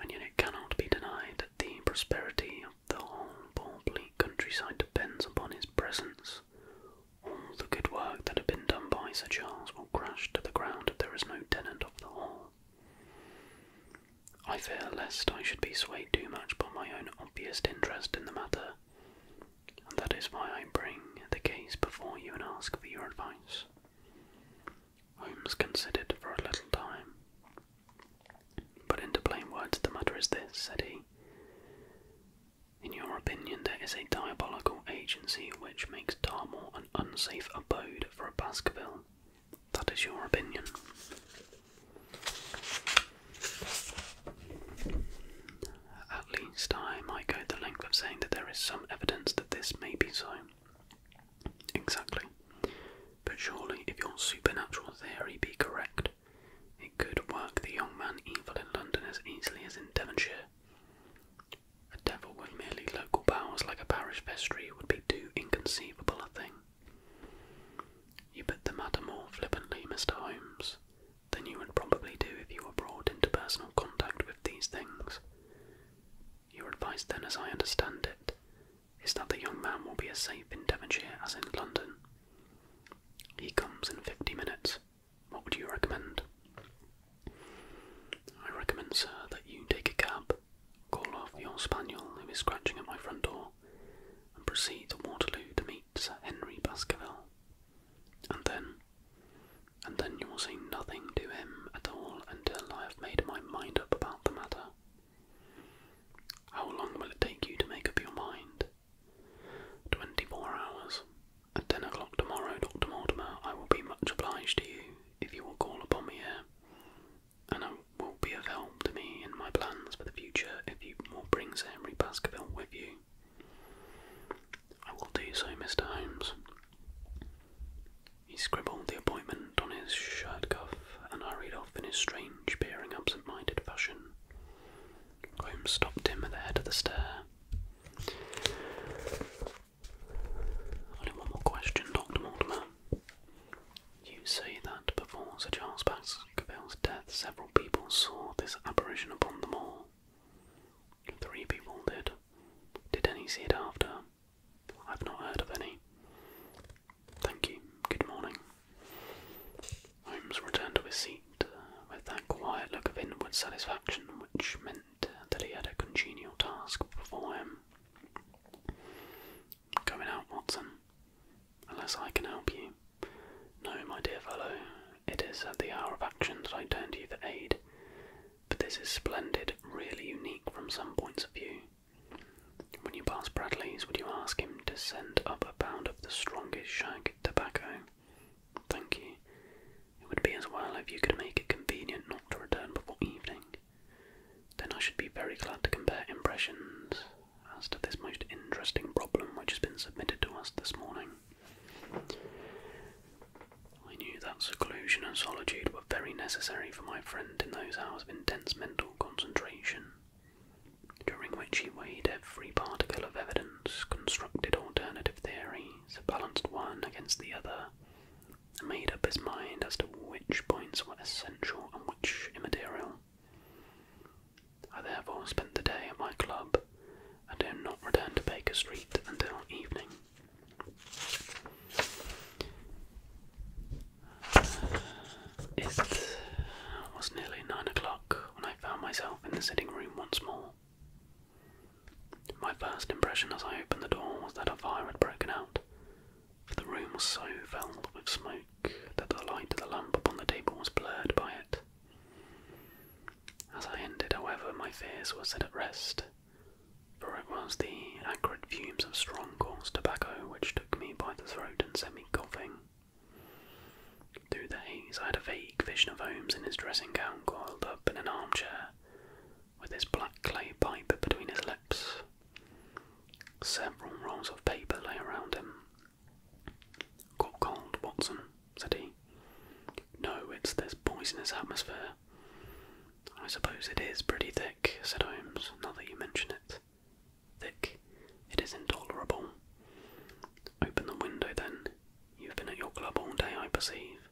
And yet it cannot be denied that the prosperity of the whole poor bleak countryside depends upon his presence. All the good work that had been done by Sir Charles will crash to the ground if there is no tenant of the hall. I fear lest I should be swayed too much by my own obvious interest in the matter, and that is why I bring the case before you and ask for your advice. Holmes considered for a little time. But into plain words, the matter is this, said he. In your opinion, there is a diabolical agency which makes Dartmoor an unsafe abode for a Baskerville. That is your opinion. At least I might go the length of saying that there is some evidence that this may be so. Exactly. But surely, if your supernatural theory be correct, it could work the young man evil in London as easily as in Devonshire. A devil with merely local powers like a parish vestry would be too inconceivable a thing. You put the matter more flippantly, Mr. Holmes, than you would probably do if you were brought into personal contact with these things. Your advice, then, as I understand it, is that the young man will be as safe in Devonshire as in London. He comes in fifty minutes. What would you recommend? I recommend, sir, that you take a cab, call off your spaniel who is scratching at my front door, and proceed to Waterloo to meet Sir Henry Baskerville. And then, and then you will say nothing to him at all until I have made my mind up about the matter. How long will it take you to make up your mind? Twenty four hours. At ten o'clock tomorrow, Dr. Mortimer, I will be much obliged to you if you will call upon me here. And I will be of help to me in my plans for the future if you will bring Henry Baskerville with you. I will do so, Mr. Holmes. He scribbled the appointment on his shirt cuff and hurried off in his strange, peering, absent minded fashion. Holmes stopped him at the head of the stair. Only one more question, Dr. Mortimer. You say that before Sir Charles Baskerville's death, several people saw this apparition upon the mall. Three people did. Did any see it after? I've not heard of any. Thank you. Good morning. Holmes returned to his seat uh, with that quiet look of inward satisfaction which meant uh, that he had a congenial task before him. Going out, Watson. Unless I can help you. No, my dear fellow, it is at the hour of action that I turn to you for aid. But this is splendid, really unique from some points of view. When you pass Bradley's, would you ask him to send up a pound of the strongest shag tobacco? Thank you. It would be as well if you could make it convenient not to return before evening. Then I should be very glad to compare impressions as to this most interesting problem which has been submitted to us this morning. I knew that seclusion and solitude were very necessary for my friend in those hours of intense mental concentration, during which he weighed every particle of evidence, constructed alternative theories, balanced one against the other, and made up his mind as to which points were essential and which immaterial. I therefore spent the day at my club and did not return to Baker Street until evening. It was nearly nine o'clock when I found myself in the sitting room once more. My first impression as I opened the door was that a fire had broken out, for the room was so filled with smoke that the light of the lamp upon the table was blurred by it. As I ended, however, my fears were set at rest, for it was the acrid fumes of strong coarse tobacco which took me by the throat and set me coughing. Through the haze, I had a vague vision of Holmes in his dressing gown coiled up in an armchair, with his black clay pipe between his lips. Several rolls of paper lay around him, Got cold, Watson, said he. No, it's this poisonous atmosphere. I suppose it is pretty thick, said Holmes, now that you mention it. Thick. It is intolerable. Open the window then. You've been at your club all day, I perceive.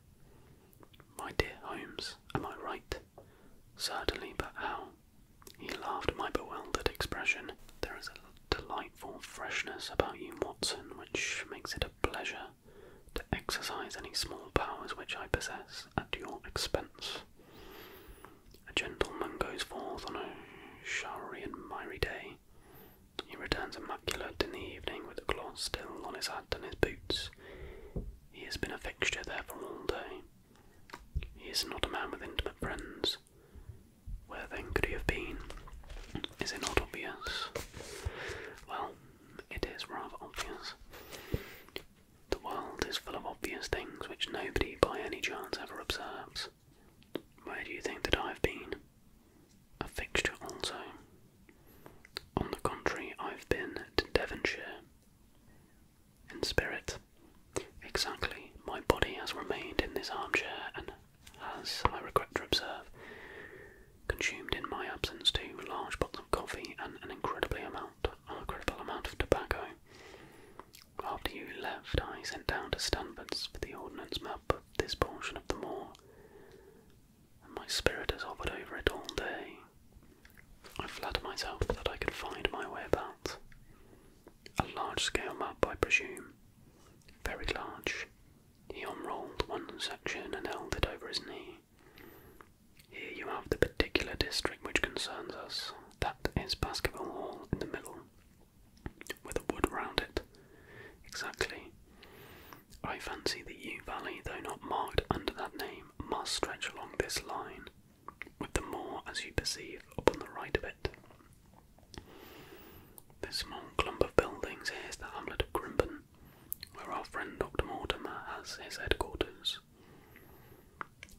My dear Holmes, am I right? Certainly, but how? He laughed at my bewildered expression. There is a delight. For freshness about you, Watson, which makes it a pleasure to exercise any small powers which I possess at your expense. A gentleman goes forth on a showery and miry day. He returns immaculate in the evening with the cloth still on his hat and his boots. He has been a fixture there for all day. He is not a man with intimate friends. Where then could he have been? Is it not obvious? Well, it is rather obvious. The world is full of obvious things which nobody by any chance ever observes. Where do you think that I've been? A fixture also. On the contrary, I've been to Devonshire. In spirit, exactly, my body has remained in this armchair and as I regret to observe, consumed in my absence two large pots of coffee and an incredibly amount, an incredible amount of tobacco. After you left, I sent down to Stanford's for the ordnance map of this portion of the moor, and my spirit has hovered over it all day. I flatter myself that I can find my way about. A large scale map, I presume, very large. He unrolled one section and held it over his knee. Here you have the particular district which concerns us. That is Baskerville Hall in the middle, with a wood round it. Exactly. I fancy the U Valley, though not marked under that name, must stretch along this line, with the moor, as you perceive, upon the right of it. This small clump of buildings here is the hamlet of Grimpen, where our friend Dr. Mortimer has his headquarters.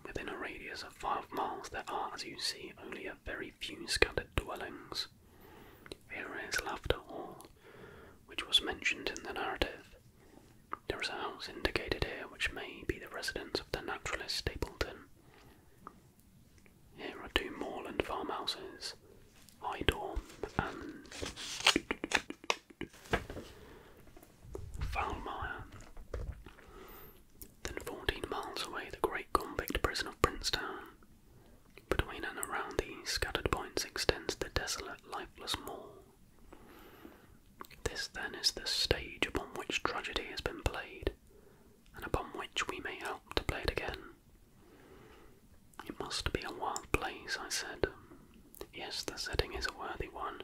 Within a radius of five miles, there are, as you see, only a very few scattered dwellings. Here is Laughter Hall, which was mentioned in the narrative. There is a house indicated here which may be the residence of the naturalist Stapleton. Here are two moorland farmhouses, Idorm and Foulmire. Then 14 miles away, the great convict prison of Princetown. Between and around these scattered points extends the desolate, lifeless moor. This then is the stage upon which tragedy has been played, and upon which we may help to play it again. It must be a wild place, I said. Yes, the setting is a worthy one.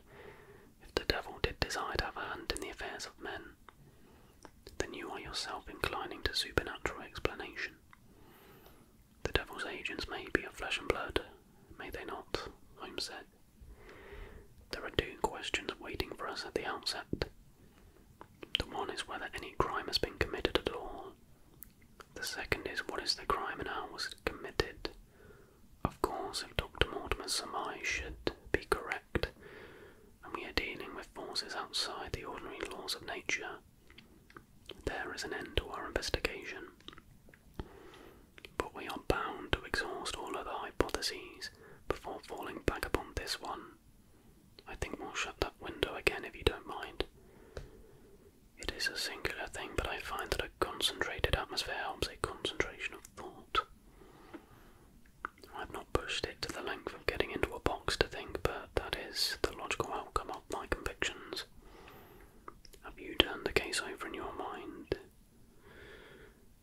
If the devil did desire to have a hand in the affairs of men, then you are yourself inclining to supernatural explanation. The devil's agents may be of flesh and blood, may they not? I said. There are two questions waiting for us at the outset the one is whether any crime has been committed at all. The second is what is the crime and how was it committed. Of course, if Dr. Mortimer's surmise should be correct, and we are dealing with forces outside the ordinary laws of nature, there is an end to our investigation. But we are bound to exhaust all other hypotheses before falling back upon this one. I think we'll shut that window again if you don't mind. It is a singular thing, but I find that a concentrated atmosphere helps a concentration of thought. I've not pushed it to the length of getting into a box to think, but that is the logical outcome of my convictions. Have you turned the case over in your mind?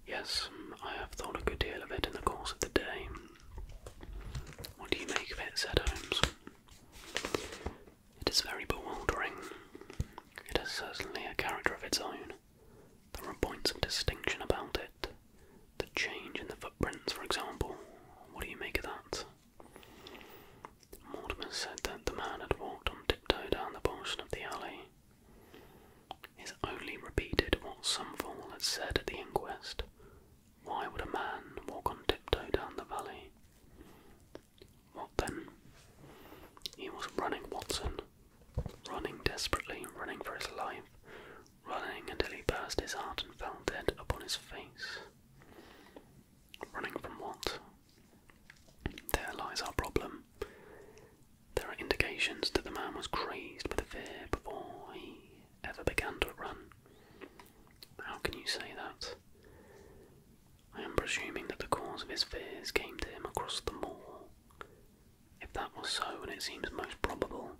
Yes, I have thought a good deal of it in the course of the day, what do you make of it? said Holmes. It is very bewildering. It has certainly a character of its own. There are points of distinction about it. The change in the footprints, for example. What do you make of that? Mortimer said that the man had walked on tiptoe down the portion of the alley. His only repeated what some fool had said at the inquest why would a man walk on tiptoe down the valley? What then? He was running Watson, running desperately, running for his life, running until he burst his heart and fell dead upon his face. Running from what? There lies our problem. There are indications that the man was crazed with fear before he ever began to run. How can you say that? I am presuming that the cause of his fears came to him across the moor. If that was so, and it seems most probable,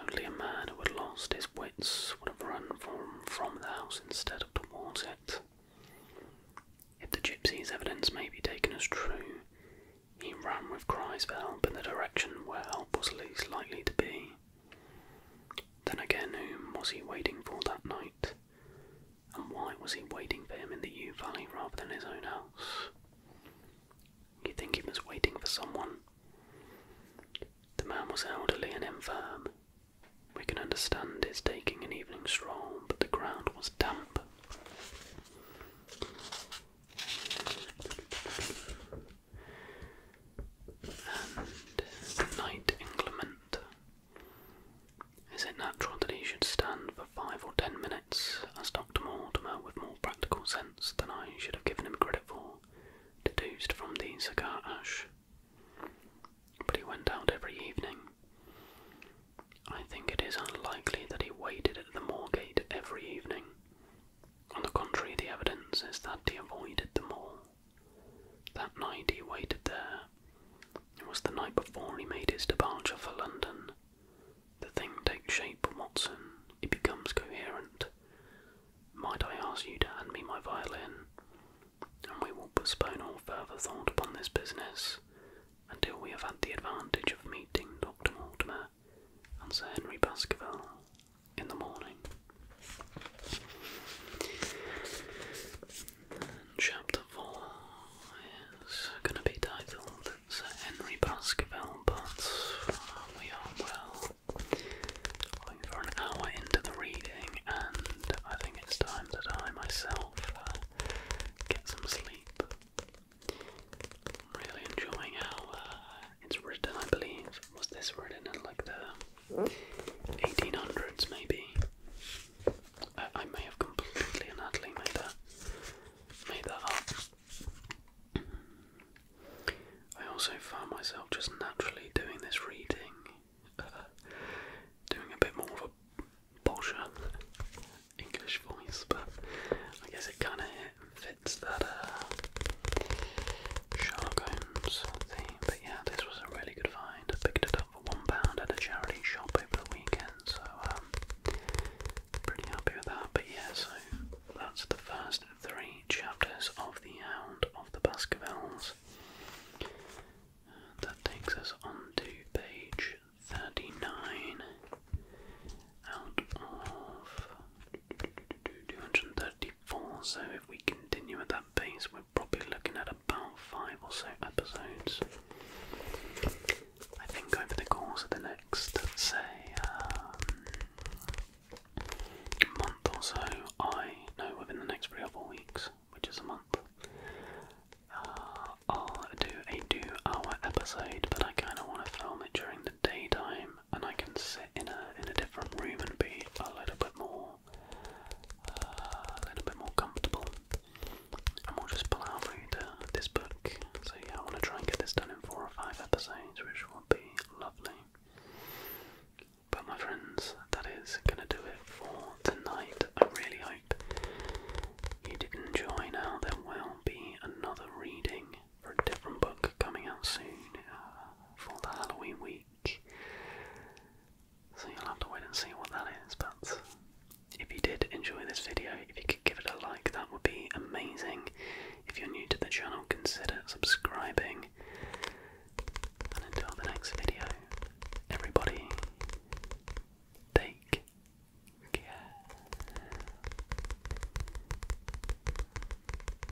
only a man who had lost his wits would have run from, from the house instead of towards it. If the gypsy's evidence may be taken as true, he ran with cries for help in the direction where help was least likely to be. Then again, whom was he waiting for that night? And why was he waiting for him in the U Valley rather than his own house? You think he was waiting for someone? The man was elderly and infirm. We can understand his taking an evening stroll, but the ground was damp and Knight Inclement. Is it natural that he should stand for five or ten minutes, as Dr. Mortimer, with more practical sense than I should have given him credit for, deduced from the cigar ash? But he went out every evening. I think it is unlikely that he waited at the Moorgate every evening, on the contrary, the evidence is that he avoided them all. That night he waited there. It was the night before he made his departure for London. The thing takes shape, Watson. It becomes coherent. Might I ask you to hand me my violin? And we will postpone all further thought upon this business until we have had the advantage of meeting Dr. Mortimer and Sir Henry Baskerville in the morning. chapter 4 is going to be titled Henry Baskerville, but uh, we are well over an hour into the reading, and I think it's time that I myself uh, get some sleep. really enjoying how uh, it's written, I believe, was this written in like the 1800s maybe? I, may have completely and utterly made that, made that up. I also found myself just naturally doing this reading, doing a bit more of a posher English voice, but I guess it kind of fits that uh, Sherlock Holmes theme. But yeah, this was a really good find. I picked it up for one pound at a charity shop over the weekend, so um, pretty happy with that. But yeah, so that's the first three chapters of The Hound of the Baskervilles. that takes us on to page 39 out of 234. So if we continue at that pace, we're probably looking at about five or so episodes. I think over the course of the next, say, um, month or so, I know within the next three weeks, which is a month, uh, I'll do a two hour episode, but I kind of want to film it during the daytime and I can sit in a in a different room and be a little bit more uh, a little bit more comfortable. And we just plough through this book. So yeah, I want to try and get this done in four or five episodes, which would be lovely. But my friends, that is gonna do it for tonight. I really hope you did enjoy. Now there will be another reading for a different book coming out soon uh, for the Halloween week. So you'll have to wait and see what that is, but if you did enjoy this video, if you could give it a like, that would be amazing. If you're new to the channel, consider subscribing. And until the next video, everybody, take care.